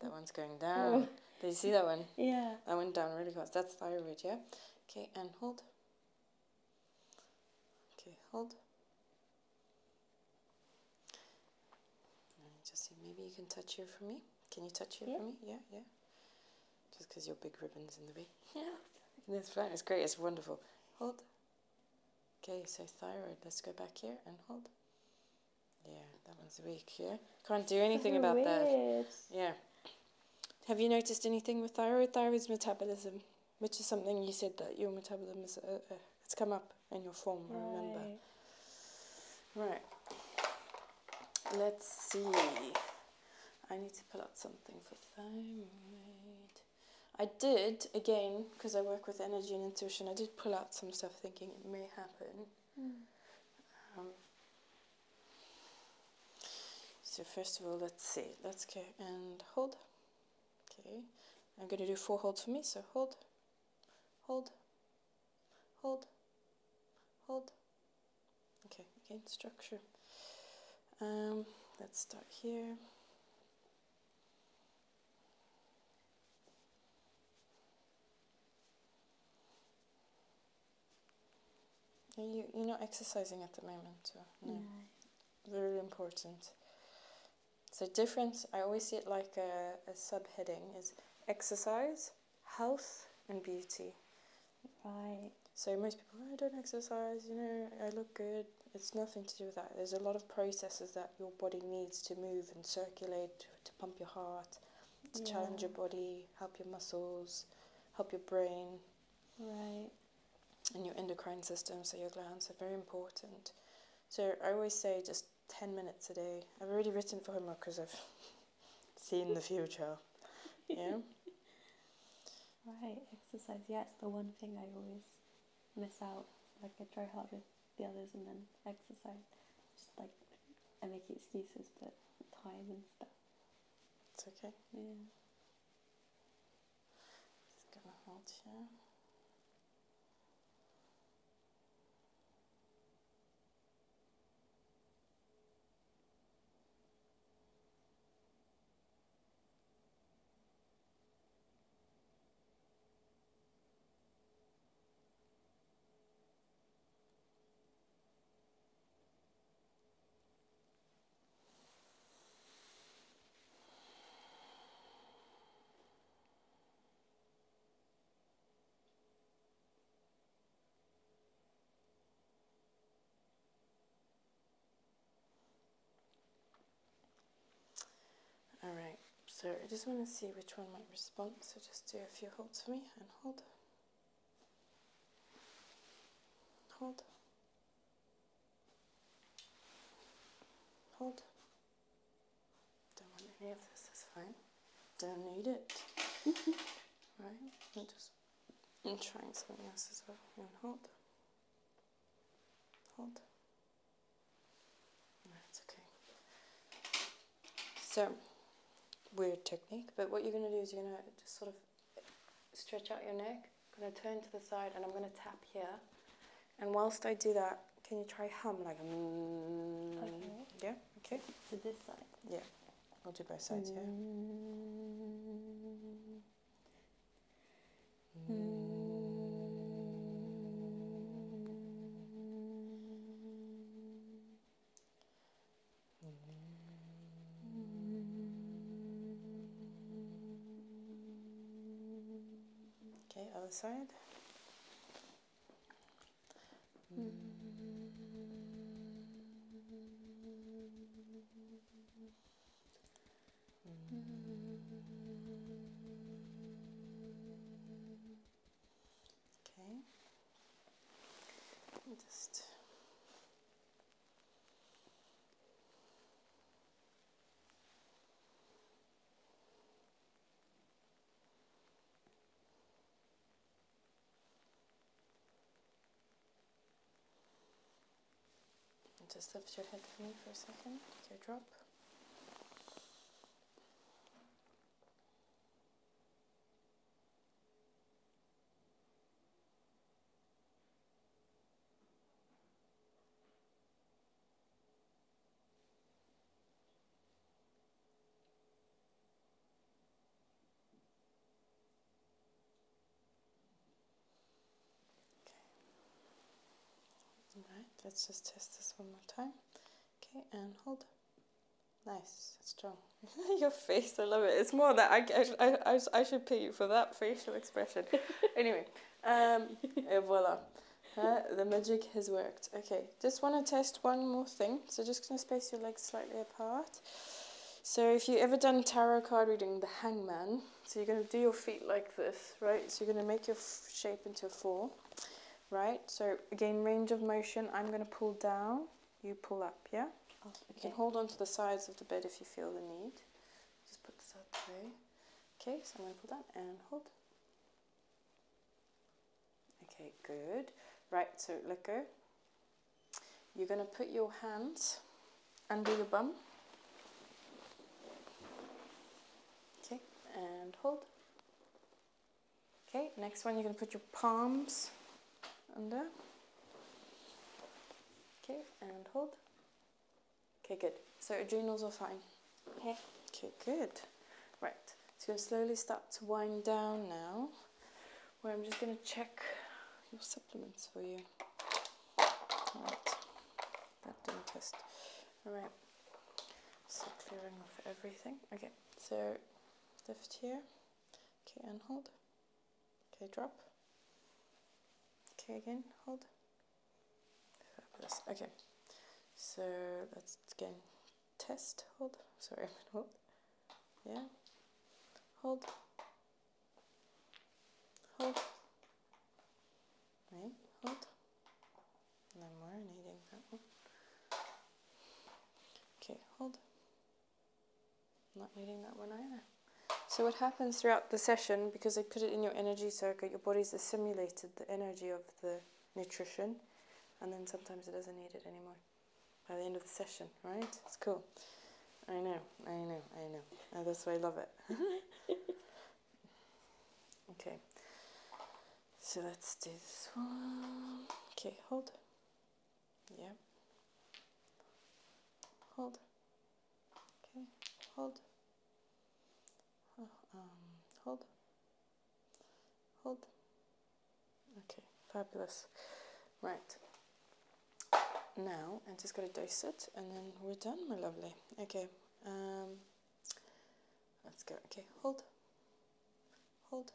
That one's going down. Oh. Did you see that one? Yeah. That went down really fast. That's thyroid, yeah? Okay, and hold. Okay, hold. Just see, maybe you can touch here for me. Can you touch here for me? Yeah, yeah. Just because your big ribbon's in the way. (laughs) Yeah. That's fine. It's great. It's wonderful. Hold. Okay, so thyroid. Let's go back here and hold. Yeah, that one's weak. Yeah, can't do anything about (laughs) weird. that. Yeah. Have you noticed anything with thyroid? Thyroid's metabolism which is something you said that your metabolism is uh, uh, it's come up in your form. remember. Right. Let's see. I need to pull out something for thyroid. I did again because I work with energy and intuition. I did pull out some stuff thinking it may happen. Hmm. Um, so first of all let's see let's go and hold okay I'm gonna do four holds for me so hold hold hold hold okay again structure um, let's start here You, you're not exercising at the moment, so no. Very important. So different. I always see it like a, a subheading, is exercise, health and beauty. Right. So most people, oh, I don't exercise, you know, I look good. It's nothing to do with that. There's a lot of processes that your body needs to move and circulate, to pump your heart, to challenge your body, help your muscles, help your brain. Right and your endocrine system, so your glands are very important. So I always say just 10 minutes a day. I've already written for homework because I've (laughs) seen the future. Yeah? (laughs) right, exercise. Yeah, it's the one thing I always miss out. Like, I try hard with the others and then exercise. Just like, I make excuses, but time and stuff. It's okay. Yeah. Just gonna hold you. All right, so I just want to see which one might respond, so just do a few holds for me and hold. Hold. Hold. Don't want any of this, that's fine. Don't need it. (laughs) right? I'm just I'm trying something else as well. And hold. Hold. That's okay. So, weird technique, but what you're going to do is you're going to just sort of stretch out your neck. I'm going to turn to the side and I'm going to tap here. And whilst I do that, can you try hum like mm, okay. Yeah, okay. To this side. Yeah. I'll do both sides, yeah. Mm. Okay, other side. Okay. Just just lift your head for me for a second, teardrop. Alright, let's just test this one more time. Okay, and hold. Nice, strong. (laughs) Your face, I love it. It's more that I, I, I, I should pay you for that facial expression. (laughs) anyway. Um, and voila. the magic has worked. Okay, just want to test one more thing. So just going to space your legs slightly apart. So if you ever done tarot card reading, the hangman, so you're going to do your feet like this, right? So you're going to make your shape into a four, right? So again, range of motion, I'm going to pull down, you pull up, yeah? okay. Oh, you can hold on to the sides of the bed if you feel the need. Just put this out the way. Okay, so I'm going to pull down and hold. Okay, good. Right, so let go. You're going to put your hands under your bum. Okay, and hold. Okay, next one, you're going to put your palms under. Okay, and hold. Okay, good. So adrenals are fine. Okay. Okay, good. Right. So you're slowly start to wind down now. Where I'm just gonna check your supplements for you. Alright. That did test. Alright. So clearing off everything. Okay, so lift here. Okay, and hold. Okay, drop. Okay, again, hold. Okay, so let's again test. Hold. Sorry, I'm (laughs) hold. Yeah. Hold. Hold. Right. Hold. No needing that one. Okay, hold. Not needing that one either. So what happens throughout the session, because I put it in your energy circuit, your body's assimilated the energy of the nutrition, and then sometimes it doesn't need it anymore by the end of the session, right? It's cool. I know, I know, I know. Uh, that's why I love it. (laughs) okay. So let's do this one. Okay, hold. Yeah. Hold. Okay, hold. Oh, um, hold. Hold. Okay, fabulous. Right. Now I'm just gonna dose it and then we're done, my lovely. Okay, um, let's go. Okay, hold. Hold.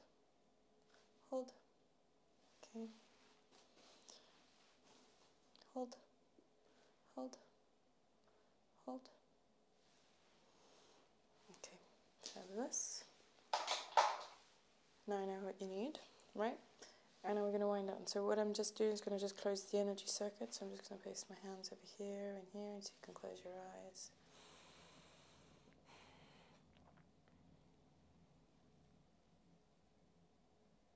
Hold. Okay. Hold. Hold. Hold. Okay, fabulous. Now I know what you need, right? And now we're going to wind down. So what I'm just doing is going to just close the energy circuit. So I'm just going to place my hands over here and here, so you can close your eyes.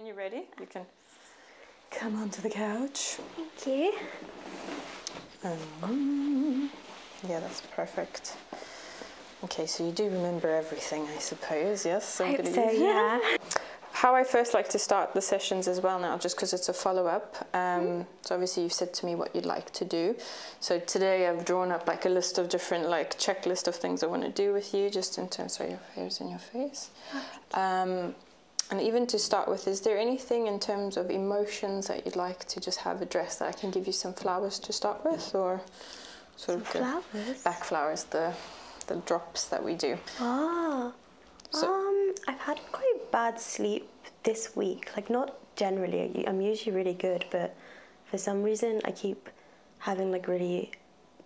Are you ready, you can come onto the couch. Thank you. Um, yeah, that's perfect. Okay, so you do remember everything, I suppose, yes? So, I so yeah. How I first like to start the sessions as well now, just because it's a follow-up. Um, mm. So obviously you've said to me what you'd like to do. So today I've drawn up like a list of different like checklist of things I want to do with you, just in terms of your hairs and your face. Um, and even to start with, is there anything in terms of emotions that you'd like to just have a dress that I can give you some flowers to start with, or sort of flowers? back flowers, the the drops that we do. Ah. um, I've had quite bad sleep this week. Like not generally. I'm usually really good, but for some reason I keep having like really,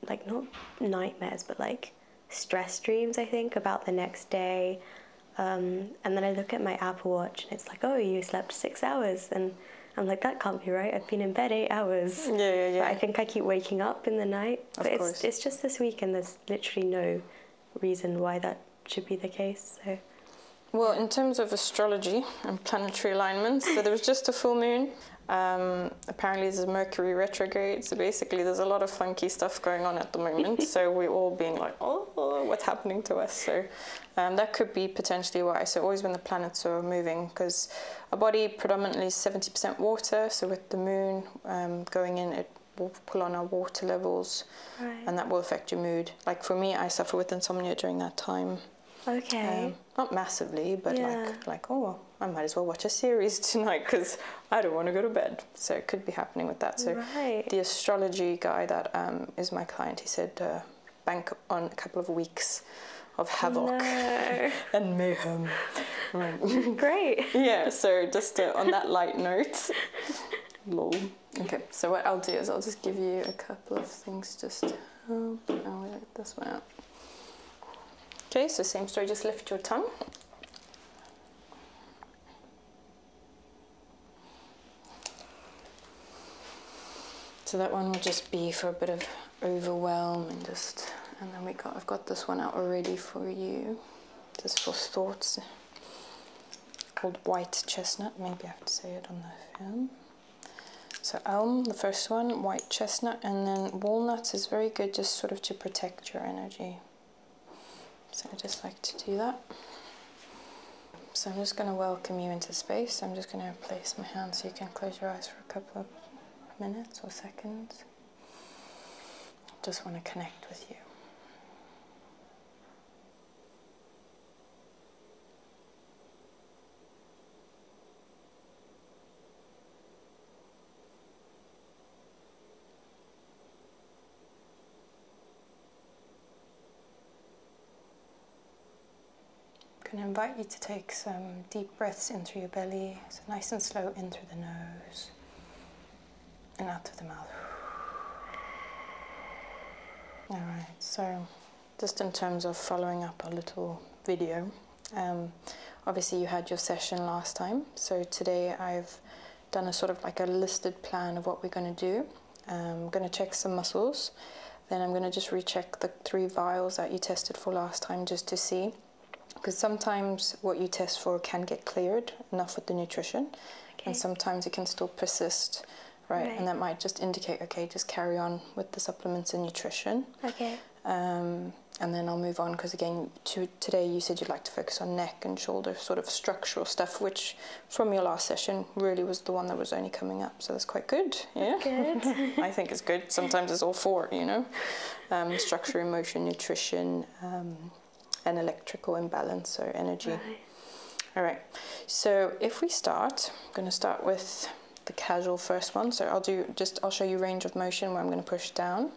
like not nightmares, but like stress dreams. I think about the next day um, and then I look at my Apple Watch and it's like, oh, you slept six hours. And I'm like, that can't be right. I've been in bed eight hours. Yeah, yeah, yeah. I think I keep waking up in the night. Of course. It's, just this week and there's literally no reason why that should be the case. So. Well, in terms of astrology and planetary alignments, so there was just a full moon. Um, apparently, there's Mercury retrograde. So basically, there's a lot of funky stuff going on at the moment. (laughs) so we're all being like, oh, what's happening to us? So um, that could be potentially why. So always when the planets are moving, because our body predominantly is 70% water. So with the moon um, going in, it will pull on our water levels, and that will affect your mood. Like for me, I suffer with insomnia during that time. Okay. Um, not massively, but like like oh, I might as well watch a series (laughs) tonight because I don't want to go to bed so it could be happening with that. So the astrology guy that um, is my client, he said uh, bank on a couple of weeks of havoc (laughs) and mayhem. (laughs) Great. yeah. So just uh, on that light note. (laughs) Lol. Okay. So what I'll do is I'll just give you a couple of things just to help. I'll oh, work this one out. Okay. So same story. Just lift your tongue. So that one will just be for a bit of overwhelm and just, and then we got, I've got this one out already for you, just for thoughts. called White Chestnut, maybe I have to say it on the film. So elm, the first one, white chestnut, and then walnuts is very good just sort of to protect your energy. So I just like to do that. So I'm just going to welcome you into space. I'm just going to place my hand so you can close your eyes for a couple of minutes or seconds. Just want to connect with you. I'm going to invite you to take some deep breaths into your belly, so nice and slow in through the nose and out of the mouth. All right, so just in terms of following up a little video, um, obviously you had your session last time, so today I've done a sort of like a listed plan of what we're going to do. I'm going to check some muscles. Then I'm going to just recheck the three vials that you tested for last time just to see. Because sometimes what you test for can get cleared, enough with the nutrition. And sometimes it can still persist, right? right? And that might just indicate, okay, just carry on with the supplements and nutrition. Okay. Um, and then I'll move on because again to, today you said you'd like to focus on neck and shoulder sort of structural stuff which from your last session really was the one that was only coming up. So that's quite good. Yeah, (laughs) I think it's good. Sometimes it's all four, you know, um, structure, emotion, nutrition, um, and electrical imbalance, so energy. All right. So if we start, I'm going to start with the casual first one. So I'll do just I'll show you range of motion where I'm going to push down.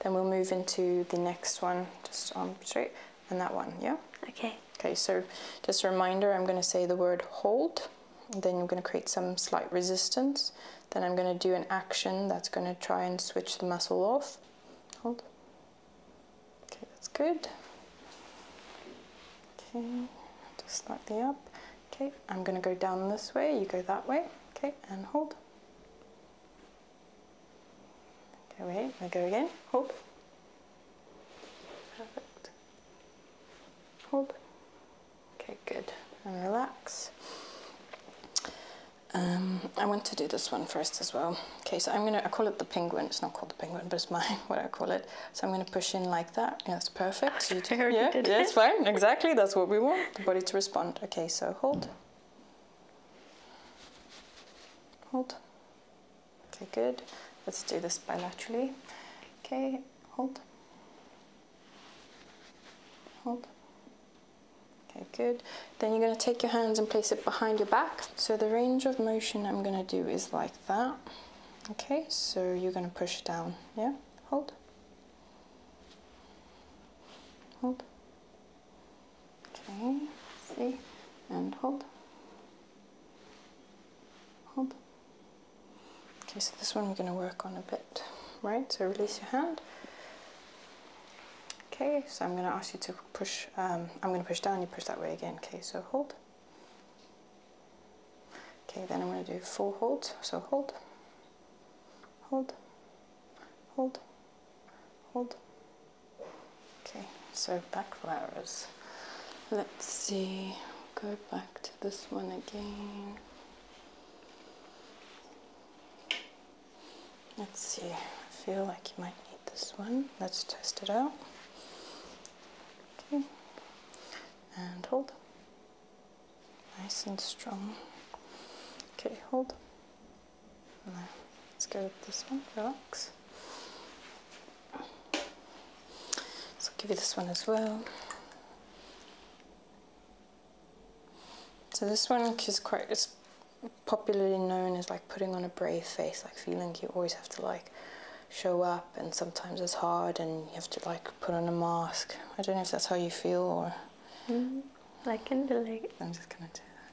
Then we'll move into the next one, just arm straight and that one, yeah? Okay. Okay, so just a reminder, I'm going to say the word hold, then I'm going to create some slight resistance, then I'm going to do an action that's going to try and switch the muscle off. Hold. Okay, that's good. Okay, just slightly up. Okay, I'm going to go down this way, you go that way. Okay, and hold. Okay, wait, I go again. Hold. Perfect. Hold. Okay, good. And relax. Um, I want to do this one first as well. Okay, so I'm gonna, I call it the penguin. It's not called the penguin, but it's my, (laughs) what I call it. So I'm gonna push in like that. Yeah, it's perfect. So you (laughs) do, yeah, yeah, it's fine. Exactly, that's what we want, the body to respond. Okay, so hold. Hold. Okay, good. Let's do this bilaterally. Okay, hold. Hold. Okay, good. Then you're going to take your hands and place it behind your back. So the range of motion I'm going to do is like that. Okay, so you're going to push down. Yeah, hold. Hold. Okay, see, and hold. Okay, so this one we're going to work on a bit, right? So release your hand. Okay, so I'm going to ask you to push, um, I'm going to push down, you push that way again. Okay, so hold. Okay, then I'm going to do four holds. So hold, hold, hold, hold, Okay, so back flowers. Let's see, go back to this one again. Let's see, I feel like you might need this one. Let's test it out. Okay, and hold. Nice and strong. Okay, hold. let's go with this one, relax. So I'll give you this one as well. So this one is quite it's popularly known as like putting on a brave face, like feeling you always have to like show up and sometimes it's hard and you have to like put on a mask. I don't know if that's how you feel or mm-hmm. like in the relate. I'm just gonna do that.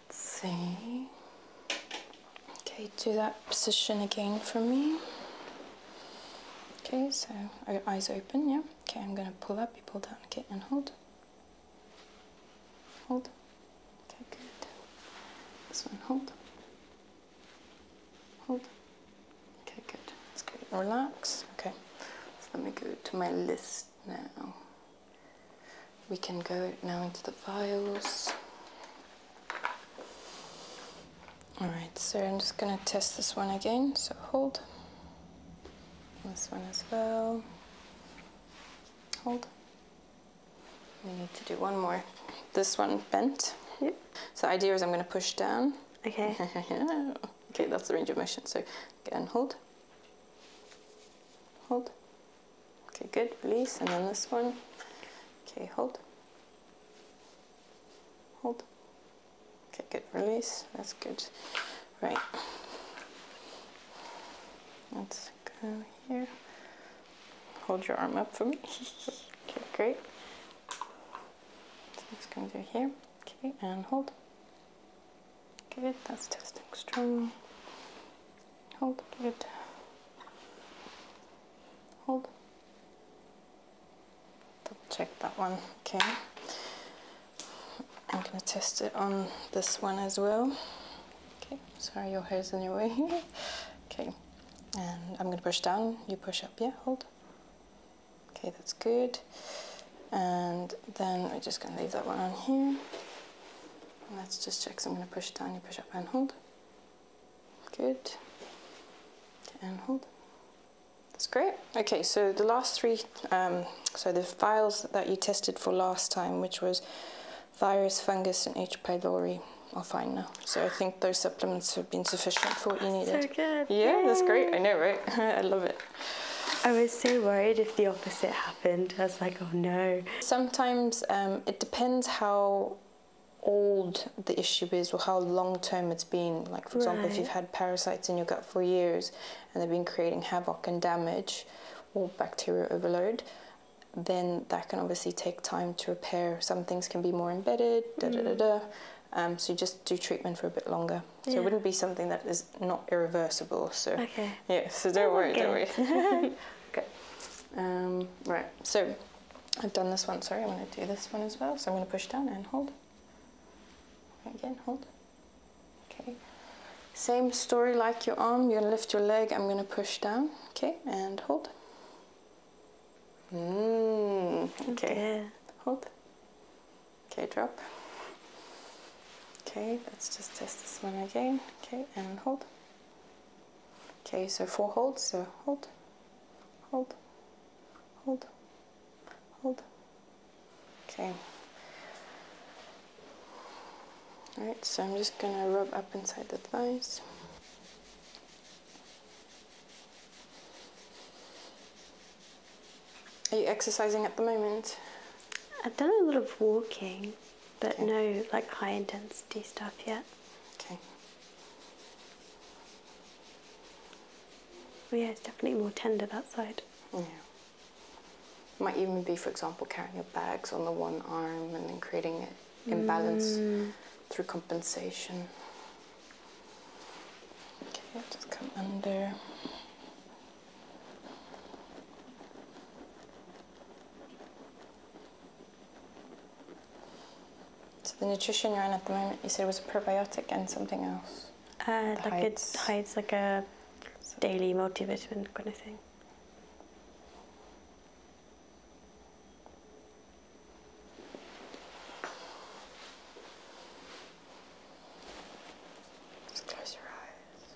Let's see. Okay, do that position again for me. Okay, so oh, eyes open, yeah. Okay, I'm gonna pull up, you pull down, okay, and hold. Hold. Okay, good. This one, hold. Hold. Okay, good. That's good. Relax. Okay, let me go to my list now. We can go now into the files. Alright, so I'm just going to test this one again, so hold. This one as well. Hold. We need to do one more. This one bent. Yep. So the idea is I'm going to push down. Okay. (laughs) okay, that's the range of motion. So again, hold. Hold. Okay, good, release, and then this one. Okay, hold. Hold. Okay, good, release, that's good. Right. Let's go here. Hold your arm up for me. (laughs) okay, great. So it's going through here. Okay, and hold. Good, that's testing strong hold, give it, hold, check that one, okay. I'm gonna test it on this one as well. Okay, sorry your hair's in your way. (laughs) okay, and I'm gonna push down, you push up, yeah, hold. Okay, that's good. And then we're just gonna leave that one on here. let's just check, so I'm gonna push down, you push up and hold good and hold that's great okay so the last three um, so the files that you tested for last time which was virus fungus and H pylori are fine now so I think those supplements have been sufficient for what you needed so good yeah that's great I know right (laughs) I love it I was so worried if the opposite happened I was like, oh no. Sometimes um, it depends how old the issue is or how long term it's been. Like, for example, if you've had parasites in your gut for years and they've been creating havoc and damage or bacterial overload, then that can obviously take time to repair. Some things can be more embedded, da da da mm. da. Um, so you just do treatment for a bit longer. So it wouldn't be something that is not irreversible. So okay. yeah, so oh don't worry, don't worry. (laughs) (laughs) okay. Um, right, so I've done this one. Sorry, I'm going to do this one as well. So I'm going to push down and hold. Again, hold. Okay. Same story like your arm. You're going to lift your leg. I'm going to push down. Okay, and hold. Mm, okay. Hold. Okay, drop. Okay, let's just test this one again. Okay, and hold. Okay, so four holds, so hold, hold, hold, hold. Okay. Alright, so I'm just gonna rub up inside the thighs. Are you exercising at the moment? I've done a lot of walking but no like high intensity stuff yet. Okay. Well, yeah, it's definitely more tender that side. Yeah. Might even be, for example, carrying your bags on the one arm and then creating an imbalance mm. through compensation. Okay, I'll just come under. So the nutrition you're on at the moment, you said it was a probiotic and something else. Uh, like it's hides like a daily multivitamin kind of thing. close your eyes.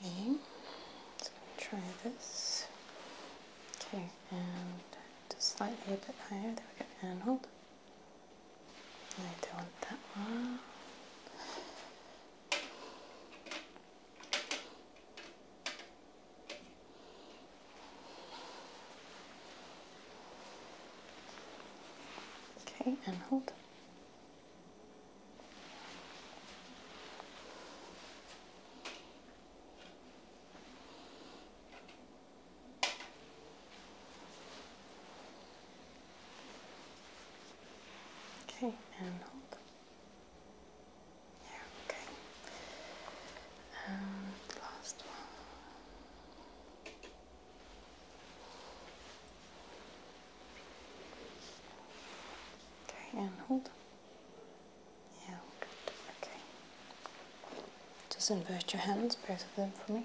Okay, Let's try this. Okay, and just slightly a bit higher. There we go, and hold. I don't want that one. Okay, and hold. Okay, and hold. Yeah, okay. And um, last one. Okay, and hold. Yeah, good. Okay. Just invert your hands, both of them for me.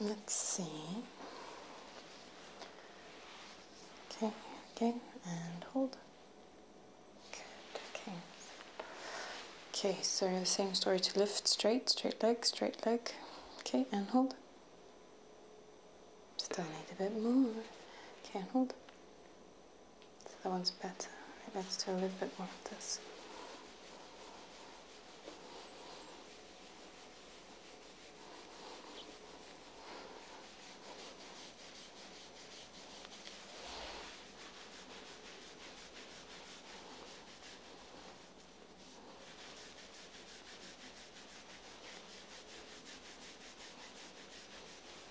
Let's see. Okay, again, and hold. Good, okay. Okay, so the same story to lift straight, straight leg, straight leg. Okay, and hold. Still need a bit more. Can't hold. So that one's better. Let's do a little bit more of this.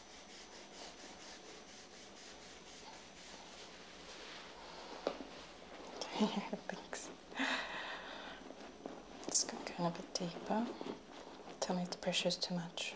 (laughs) Thanks. Let's go kind of a bit deeper. Tell me if the pressure is too much.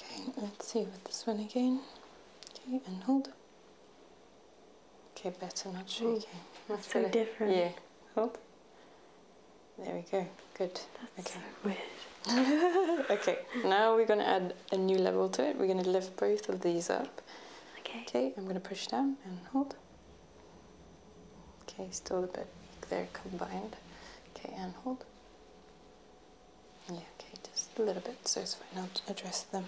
Okay, let's see with this one again. Okay, and hold. Okay, better not shaking. That's so different. Yeah, hold. There we go. Good. That's okay. so weird. (laughs) okay, now we're going to add a new level to it. We're going to lift both of these up. Okay. Okay, I'm going to push down and hold. Okay, still a bit weak there combined. Okay, and hold. Yeah, okay, just a little bit, so it's fine. I'll address them.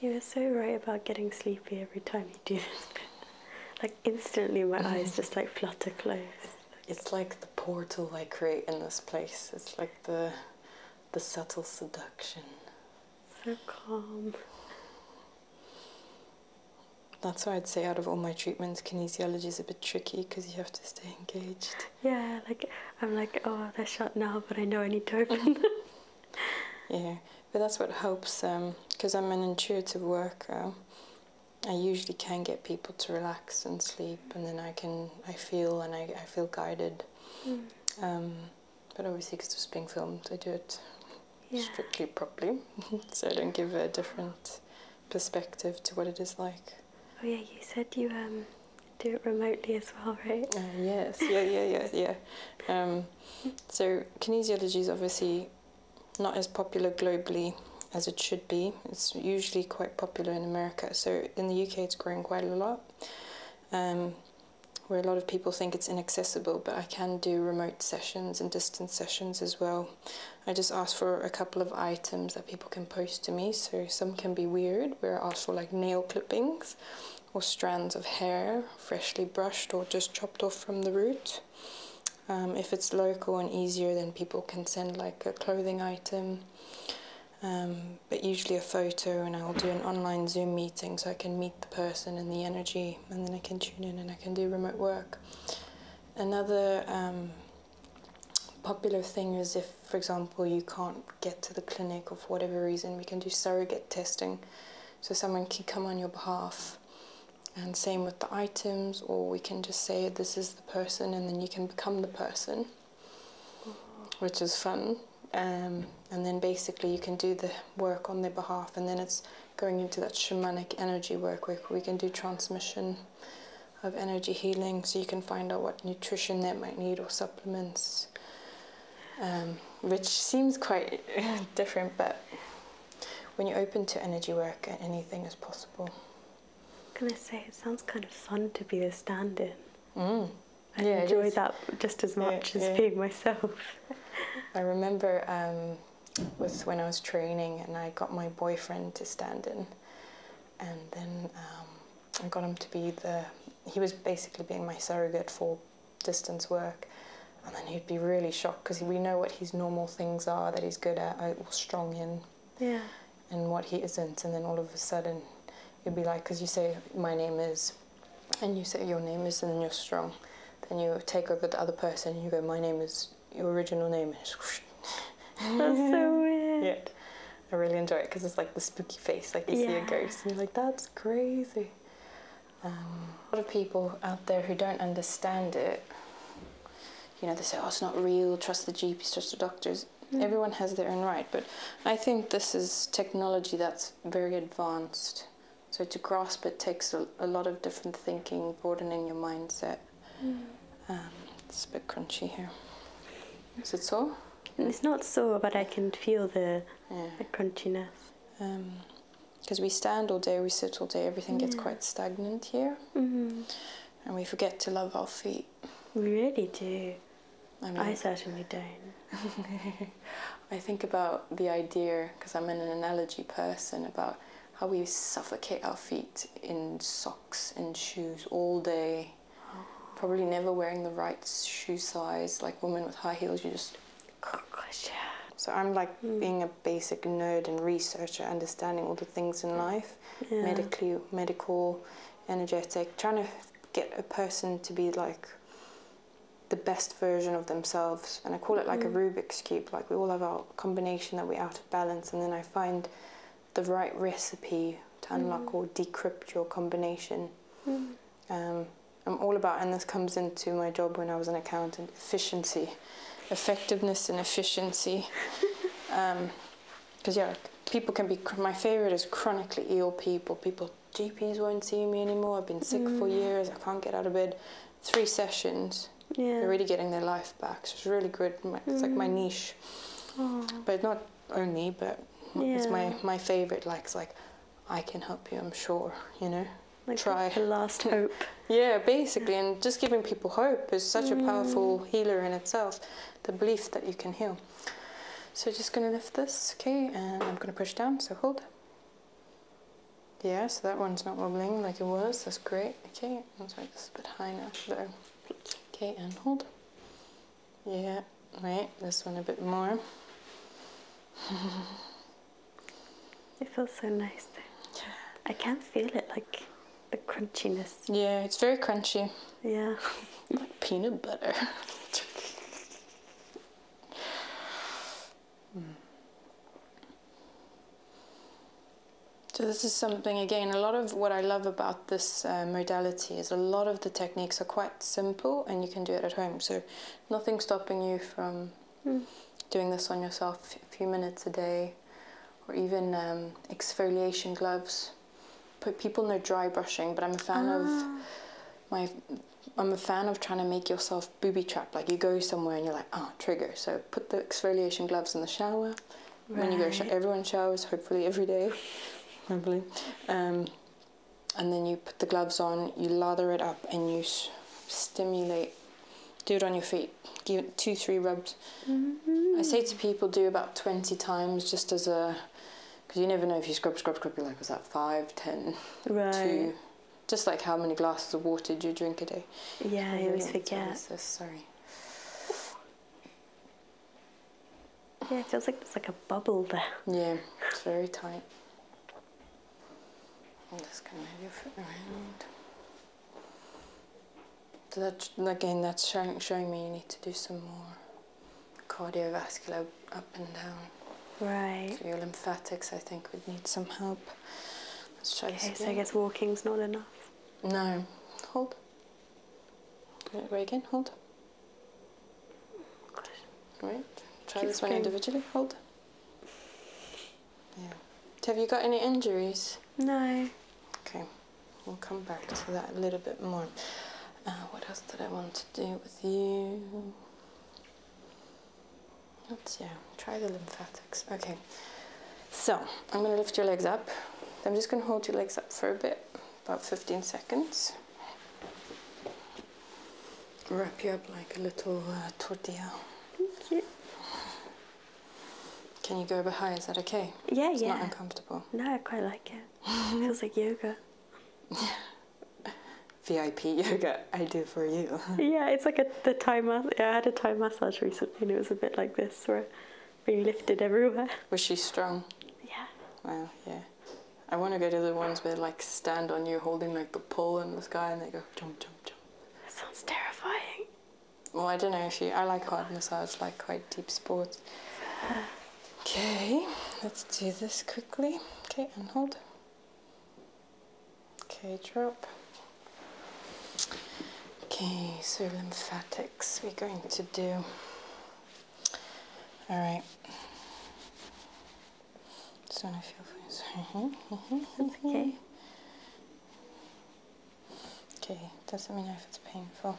You were so right about getting sleepy every time you do this (laughs) like instantly my mm-hmm. eyes just like flutter close. It's like the portal I create in this place. It's like the the subtle seduction so calm. That's why I'd say out of all my treatments, kinesiology is a bit tricky because you have to stay engaged. Yeah, like I'm like, oh, they're shut now, but I know I need to open (laughs) yeah, but that's what helps because um, I'm an intuitive worker. I usually can get people to relax and sleep, and then I can I feel and I, I feel guided. Hmm. Um, but obviously because it's being filmed I do it strictly properly (laughs) so I don't give a different perspective to what it is like. Oh yeah, you said you um, do it remotely as well, (laughs) right? Oh, yes, yeah, yeah, yeah, (laughs) yeah. Um, so kinesiology is obviously not as popular globally as it should be. It's usually quite popular in America. So in the UK, it's growing quite a lot. Um, where a lot of people think it's inaccessible, but I can do remote sessions and distance sessions as well. I just ask for a couple of items that people can post to me. So some can be weird, We're ask for like nail clippings or strands of hair, freshly brushed or just chopped off from the root. Um, if it's local and easier, then people can send like a clothing item. Um, but usually a photo, and I'll do an online Zoom meeting so I can meet the person and the energy, and then I can tune in and I can do remote work. Another um, popular thing is if, for example, you can't get to the clinic or for whatever reason, we can do surrogate testing. So someone can come on your behalf. And same with the items, or we can just say this is the person, and then you can become the person, which is fun. Um, and then basically you can do the work on their behalf and then it's going into that shamanic energy work where we can do transmission of energy healing so you can find out what nutrition they might need or supplements um, which seems quite (laughs) different but when you're open to energy work anything is possible Can i say it sounds kind of fun to be a stand-in mm. I enjoy that just as much as being myself I remember um, when I was training and I got my boyfriend to stand in, and then um, I got him to be the. He was basically being my surrogate for distance work, and then he'd be really shocked because we know what his normal things are that he's good at uh, or strong in. Yeah. And what he isn't, and then all of a sudden, you would be like, because you say my name is and you say your name is, and then you're strong. Then you take over the other person, and you go, my name is your original name. (laughs) That's so weird. Yeah. I really enjoy it because it's like the spooky face, like you see a ghost, and you're like, that's crazy. Um, a lot of people out there who don't understand it, you know, they say, oh, it's not real, trust the GPs, trust the doctors. Hmm. Everyone has their own right, but I think this is technology that's very advanced so to grasp it takes a, a lot of different thinking, broadening your mindset. Mm. Um, it's a bit crunchy here. Is it sore? Mm, it's not sore, but I can feel the, the crunchiness. Because um, we stand all day, we sit all day, everything gets quite stagnant here. Mm-hmm. And we forget to love our feet. We really do. I, I certainly don't. (laughs) I think about the idea, because I'm an analogy person, about how we suffocate our feet in socks and shoes all day. Probably never wearing the right shoe size. Like women with high heels, you just. So I'm like hmm. being a basic nerd and researcher, understanding all the things in life, medically, medical, energetic, trying to get a person to be like the best version of themselves. And I call it like a mm. Rubik's Cube, like we all have our combination that we're out of balance, and then I find the right recipe to unlock mm. or decrypt your combination. Mm. Um, I'm all about, and this comes into my job when I was an accountant efficiency, effectiveness, and efficiency. Because, (laughs) um, yeah, people can be, my favorite is chronically ill people, people GPs won't see me anymore. I've been sick for mm. years. I can't get out of bed. Three sessions. Yeah. They're really getting their life back. So it's really good. it's like my mm. niche. But not only, but it's my, my favorite. Like, it's like, I can help you, I'm sure, you know? Like Try. The last (laughs) hope. yeah, basically. And just giving people hope is such a powerful mm. healer in itself. The belief that you can heal. So just going to lift this, okay? And I'm going to push down. So hold. Yeah, so that one's not wobbling like it was. That's great. Okay, let's make this a bit high now. There. Okay, and hold. Yeah, right. This one a bit more. (laughs) it feels so nice. Though. I can not feel it, like the crunchiness. Yeah, it's very crunchy. Yeah. (laughs) like peanut butter. (laughs) So this is something again. A lot of what I love about this uh, modality is a lot of the techniques are quite simple, and you can do it at home. So nothing stopping you from hmm. doing this on yourself. A few minutes a day, or even um, exfoliation gloves. Put people know dry brushing, but I'm a fan of ah my I'm a fan of trying to make yourself booby trapped. Like you go somewhere and you're like, ah, oh, trigger. So put the exfoliation gloves in the shower. When you go, everyone showers hopefully every day, (laughs) probably. Um, and then you put the gloves on, you lather it up, and you stimulate. Do it on your feet. Give it two, three rubs. Mm-hmm. I say to people, do about twenty times, just as a, because you never know if you scrub, scrub, scrub. You're like, was that five, ten, right. two just like how many glasses of water do you drink a day? Yeah, I always forget. sorry. Yeah, it feels like there's like a bubble there. Yeah, it's very tight. I'm just gonna move your foot around. that again, that's showing me you need to do some more cardiovascular up and down. Right. So your lymphatics, I think, would need some help. Let's try okay, this so I guess walking's not enough. No. Hold. Right again. Hold. All right. Try this one individually. Hold. Yeah. Have you got any injuries? No. Okay. We'll come back to that a little bit more. Uh, what else did I want to do with you? Let's, yeah, try the lymphatics. Okay, so I'm gonna lift your legs up. I'm just gonna hold your legs up for a bit, about 15 seconds. Wrap you up like a little uh, tortilla. Can you go a bit higher? Is that okay? Yeah, it's yeah. It's not uncomfortable. No, I quite like it. (laughs) Feels like yoga. (laughs) VIP yoga I do for you. (laughs) yeah, it's like a the Thai massage. I had a time massage recently, and it was a bit like this, where we lifted everywhere. (laughs) Was she strong? Yeah. Well, Yeah. I want to go to the ones where like stand on you, holding like the pole in the sky, and they go jump, jump, jump. That sounds terrifying. Well, I don't know if you. I like hard massage, like quite deep sports. (sighs) Okay, let's do this quickly. Okay, and hold. Okay, drop. Okay, so lymphatics we're going to do. All right. So I feel sorry. okay. Okay, doesn't mean if it's painful.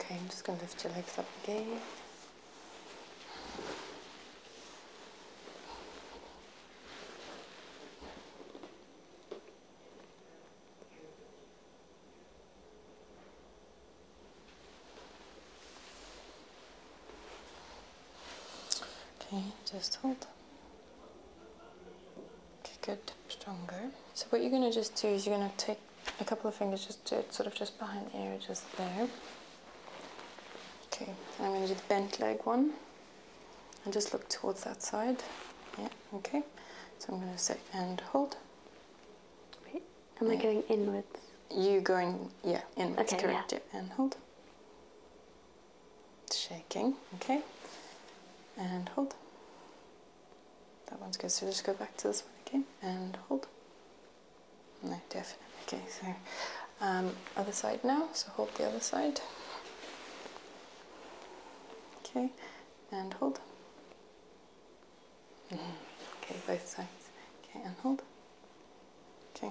Okay, I'm just going to lift your legs up again. Okay, just hold. Okay, good, stronger. So what you're gonna just do is you're gonna take a couple of fingers just to uh, sort of just behind the ear, just there. Okay, I'm gonna do the bent leg one. And just look towards that side. Yeah, okay. So I'm gonna say and hold. Wait, am I going inwards? You going yeah, inwards, okay, yeah. And hold shaking, okay, and hold. That one's good, so just go back to this one again, and hold. No, definitely, okay, so um, other side now, so hold the other side. Okay, and hold. (laughs) Okay, both sides. Okay, and hold. Okay,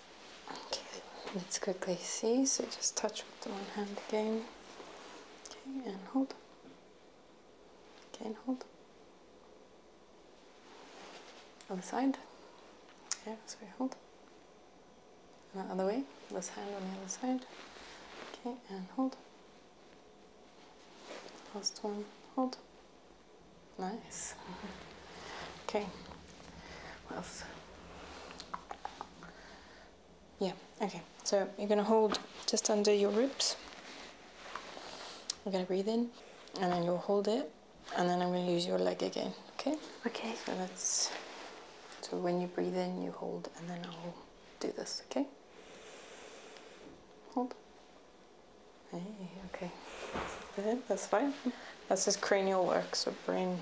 Okay, let's quickly see. So just touch with the one hand again. Okay, and hold. Okay, and hold. Other side. Okay, so we hold. And the other way. This hand on the other side. Okay, and hold. Last one, hold. Nice. (laughs) Okay. What yeah okay so you're gonna hold just under your ribs you're gonna breathe in and then you'll hold it and then I'm gonna use your leg again okay okay so that's so when you breathe in you hold and then I'll do this okay hold hey okay that's fine that's just cranial work so brain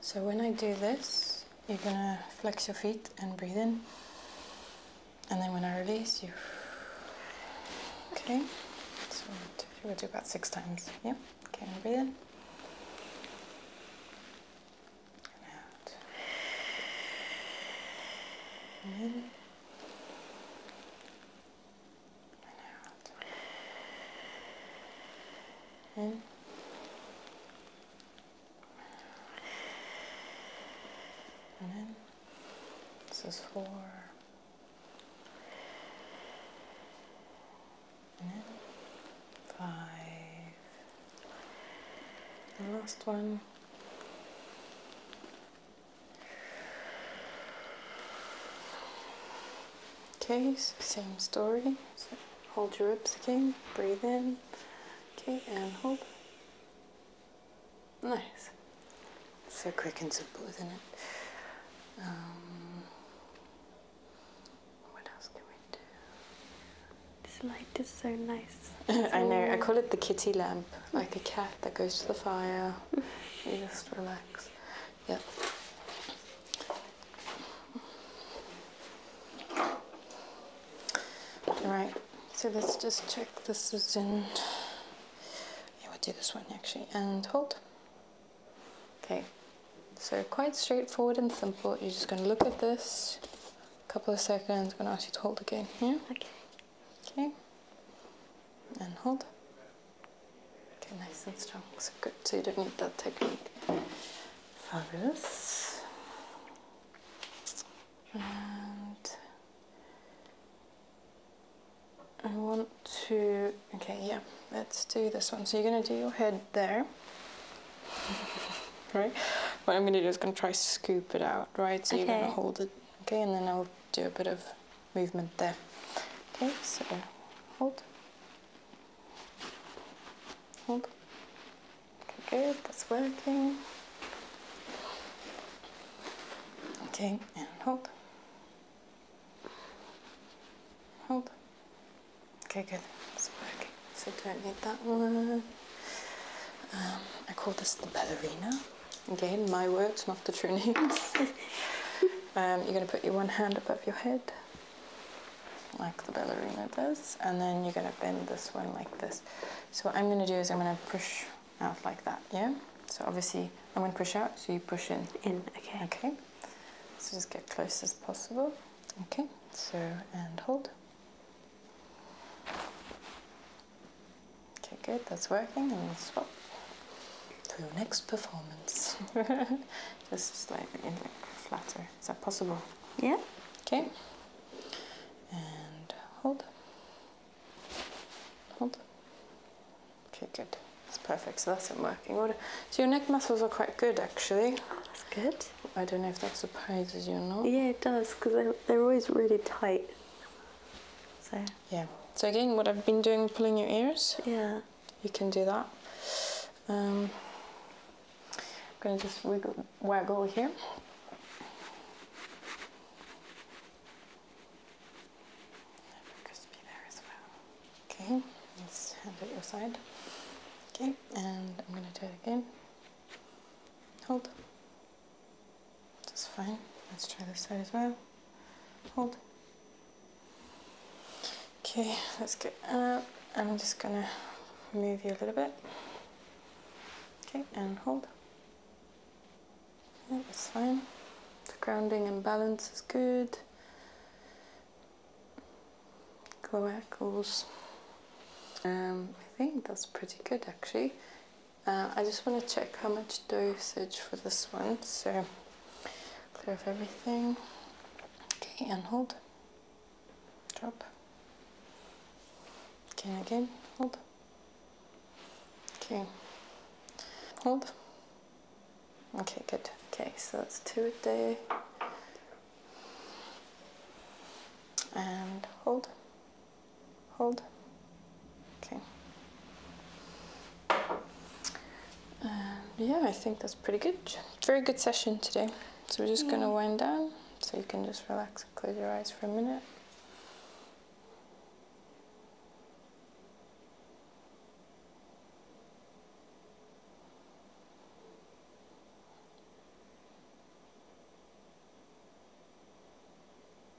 so when I do this, you're gonna flex your feet and breathe in. And then when I release, you. Okay. So we'll do about six times. Yep. Okay, and breathe in and in. This is four. And in. Five. The last one. Okay, same story. hold your ribs again, breathe in. Okay, and hold. Nice. So quick and simple, isn't it? Um, what else can we do? This light is so nice. (laughs) I know, I call it the kitty lamp like a cat that goes to the fire. (laughs) you just relax. Yep. Alright, so let's just check this is in. Yeah, we'll do this one actually. And hold. Okay, so quite straightforward and simple. You're just going to look at this a couple of seconds. I'm going to ask you to hold again. Yeah? Okay. Okay, and hold. Okay, nice and strong. So good. So you don't need that technique. Fabulous. And I want to. Okay, yeah. Let's do this one. So you're gonna do your head there. (laughs) right? What I'm gonna do is gonna try scoop it out, right? So you're gonna hold it, okay? And then I'll do a bit of movement there. Okay, so hold, hold. Okay, good, that's working. Okay, and hold, hold. Okay, good, that's working. So don't need that one. Um, I call this the ballerina. Again, my words, not the true names. (laughs) Um, you're going to put your one hand above your head, like the ballerina does, and then you're going to bend this one like this. So, what I'm going to do is I'm going to push out like that, yeah? So, obviously, I'm going to push out, so you push in. In, okay. Okay. So, just get close as possible. Okay, so, and hold. Okay, good, that's working, and we'll swap to your next performance. Just (laughs) slightly like flatter. Is that possible? Yeah. Okay. And hold. Hold. Okay, good. It's perfect. So that's it working. So your neck muscles are quite good actually. That's good. I don't know if that surprises you or not. Yeah, it does, because they're, they're always really tight. So yeah. So again, what I've been doing, pulling your ears. Yeah. You can do that. Um, I'm gonna just wiggle, waggle here. Okay. Let's hand it your side. Okay, and I'm gonna do it again. Hold. That's fine. Let's try this side as well. Hold. Okay, let's get out. I'm just gonna move you a little bit. Okay, and hold. Yeah, that's fine. grounding and balance is good. Cloacals. Um, I think that's pretty good actually. Uh, I just want to check how much dosage for this one. So Clear of everything. Okay, and hold. Drop. Okay, again, hold. Okay, hold. Okay, good. Okay, so that's two a day. And hold, hold. Okay. Um, yeah, I think that's pretty good. Very good session today. So we're just going to wind down so you can just relax and close your eyes for a minute.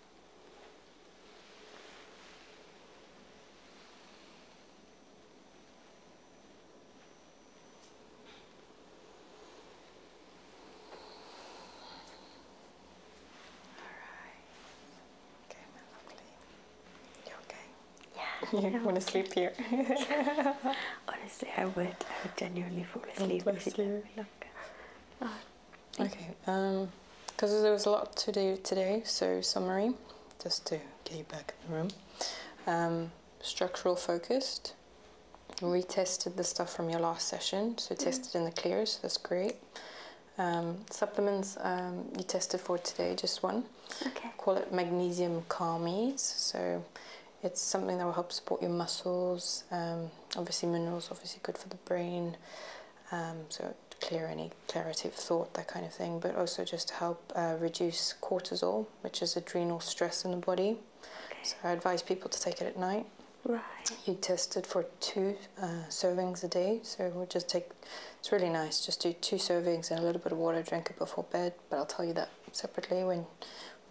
right. Okay, my lovely. You okay? Yeah. (laughs) You want to sleep here? (laughs) Honestly, I would. I would genuinely fall asleep. Oh, bless you. Okay, because um, there was a lot to do today, so summary, just to get you back in the room. Um, structural focused, retested the stuff from your last session, so mm-hmm. tested in the clear, so that's great. Um, supplements you tested for today, just one. Okay. Call it magnesium calmies. So it's something that will help support your muscles. obviously, minerals obviously good for the brain. so clear any clarity of thought, that kind of thing, but also just to help uh, reduce cortisol, which is adrenal stress in the body. So I advise people to take it at night. Right. You test it for two uh, servings a day, so we'll just take. It's really nice. Just do two servings and a little bit of water. Drink it before bed, but I'll tell you that separately when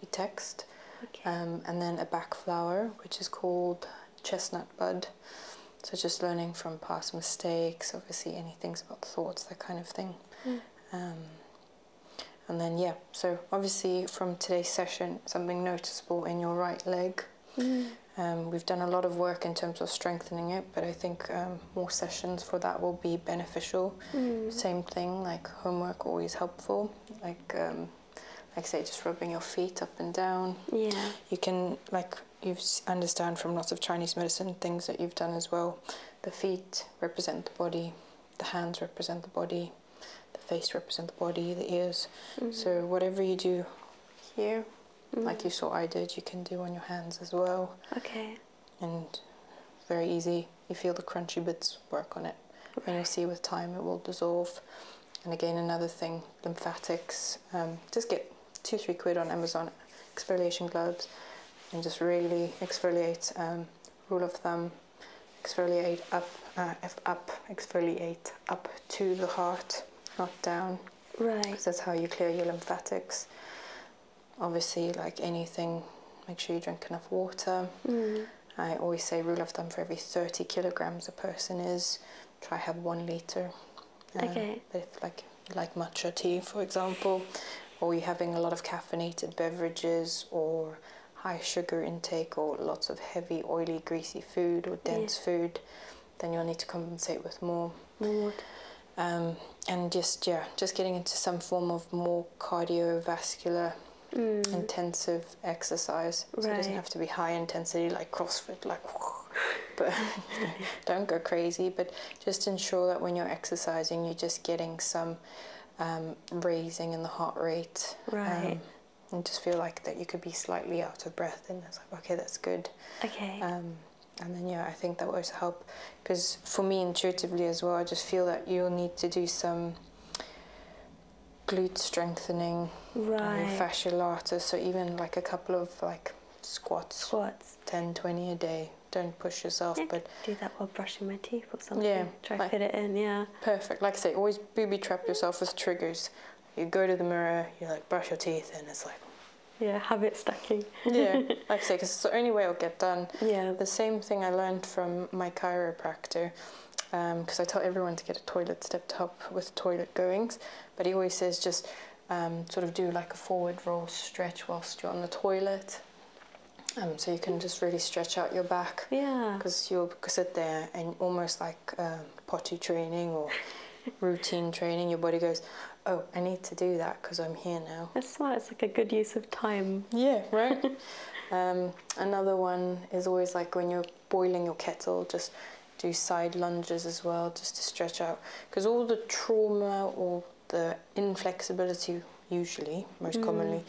we text. Okay. Um, and then a back flower, which is called chestnut bud, so just learning from past mistakes, obviously any things about thoughts, that kind of thing. Mm. Um, and then yeah, so obviously from today's session, something noticeable in your right leg. Mm. Um, we've done a lot of work in terms of strengthening it, but I think um, more sessions for that will be beneficial. Mm. Same thing, like homework always helpful. Like like I say, just rubbing your feet up and down. Yeah. You can like you understand from lots of Chinese medicine things that you've done as well. The feet represent the body, the hands represent the body, the face represent the body, the ears. Mm-hmm. So whatever you do here, mm-hmm. like you saw I did, you can do on your hands as well. Okay. And very easy. You feel the crunchy bits work on it. Right. And you see with time it will dissolve. And again, another thing, lymphatics, um, just get two, three quid on Amazon exfoliation gloves and just really exfoliate, rule um, of thumb, exfoliate up, uh, up, exfoliate up to the heart, not down. Right. that's how you clear your lymphatics. Obviously, like anything, make sure you drink enough water. Mm. I always say rule of thumb for every 30 kilograms a person is, try have one liter uh, okay. If like like matcha tea, for example, or you're having a lot of caffeinated beverages, or high sugar intake, or lots of heavy, oily, greasy food, or dense food, then you'll need to compensate with more. More um, and just yeah, just getting into some form of more cardiovascular mm. intensive exercise. So it doesn't have to be high intensity like CrossFit, like (laughs) but (laughs) don't go crazy. But just ensure that when you're exercising, you're just getting some um, raising in the heart rate. Um, and just feel like that you could be slightly out of breath, and that's like, okay, that's good. Okay. Um, and then yeah, I think that will also help because for me intuitively as well, I just feel that you'll need to do some glute strengthening, um, right. fascia lata. So even like a couple of like squats. Squats. 10, 20 a day. Don't push yourself. but do that while brushing my teeth or something. Yeah. Try like, fit it in, yeah. Perfect. Like I say, always booby trap yourself with triggers. You go to the mirror, you like brush your teeth, and it's like. Yeah, habit stacking. yeah, (laughs) like I say, because it's the only way it'll get done. Yeah. The same thing I learned from my chiropractor because um, I tell everyone to get a toilet step top with toilet goings, but he always says just um, sort of do like a forward roll stretch whilst you're on the toilet. Um, so you can just really stretch out your back. Yeah. Because you'll sit there and almost like um, potty training or (laughs) routine training, your body goes, oh, I need to do that because I'm here now. That's smart. It's like a good use of time. Yeah, right? (laughs) Um, another one is always like when you're boiling your kettle, just do side lunges as well just to stretch out because all the trauma or the inflexibility usually most mm. commonly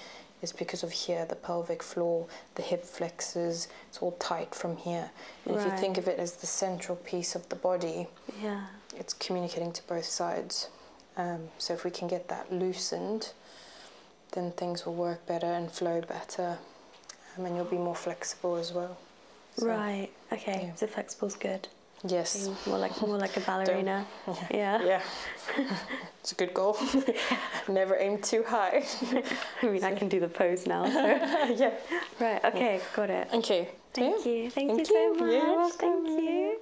is because of here the pelvic floor the hip flexors it's all tight from here if you think of it as the central piece of the body yeah it's communicating to both sides um, so if we can get that loosened then things will work better and flow better um, and you'll be more flexible as well right. Okay. Yeah. So flexible's good. Yes. More like more like a (laughs) ballerina. yeah. Yeah. (laughs) it's a good goal. (laughs) Never aim too high. I mean, I can do the pose now. yeah. Right. Okay. Got it. Thank you. Thank, Thank, you so much. Thank you.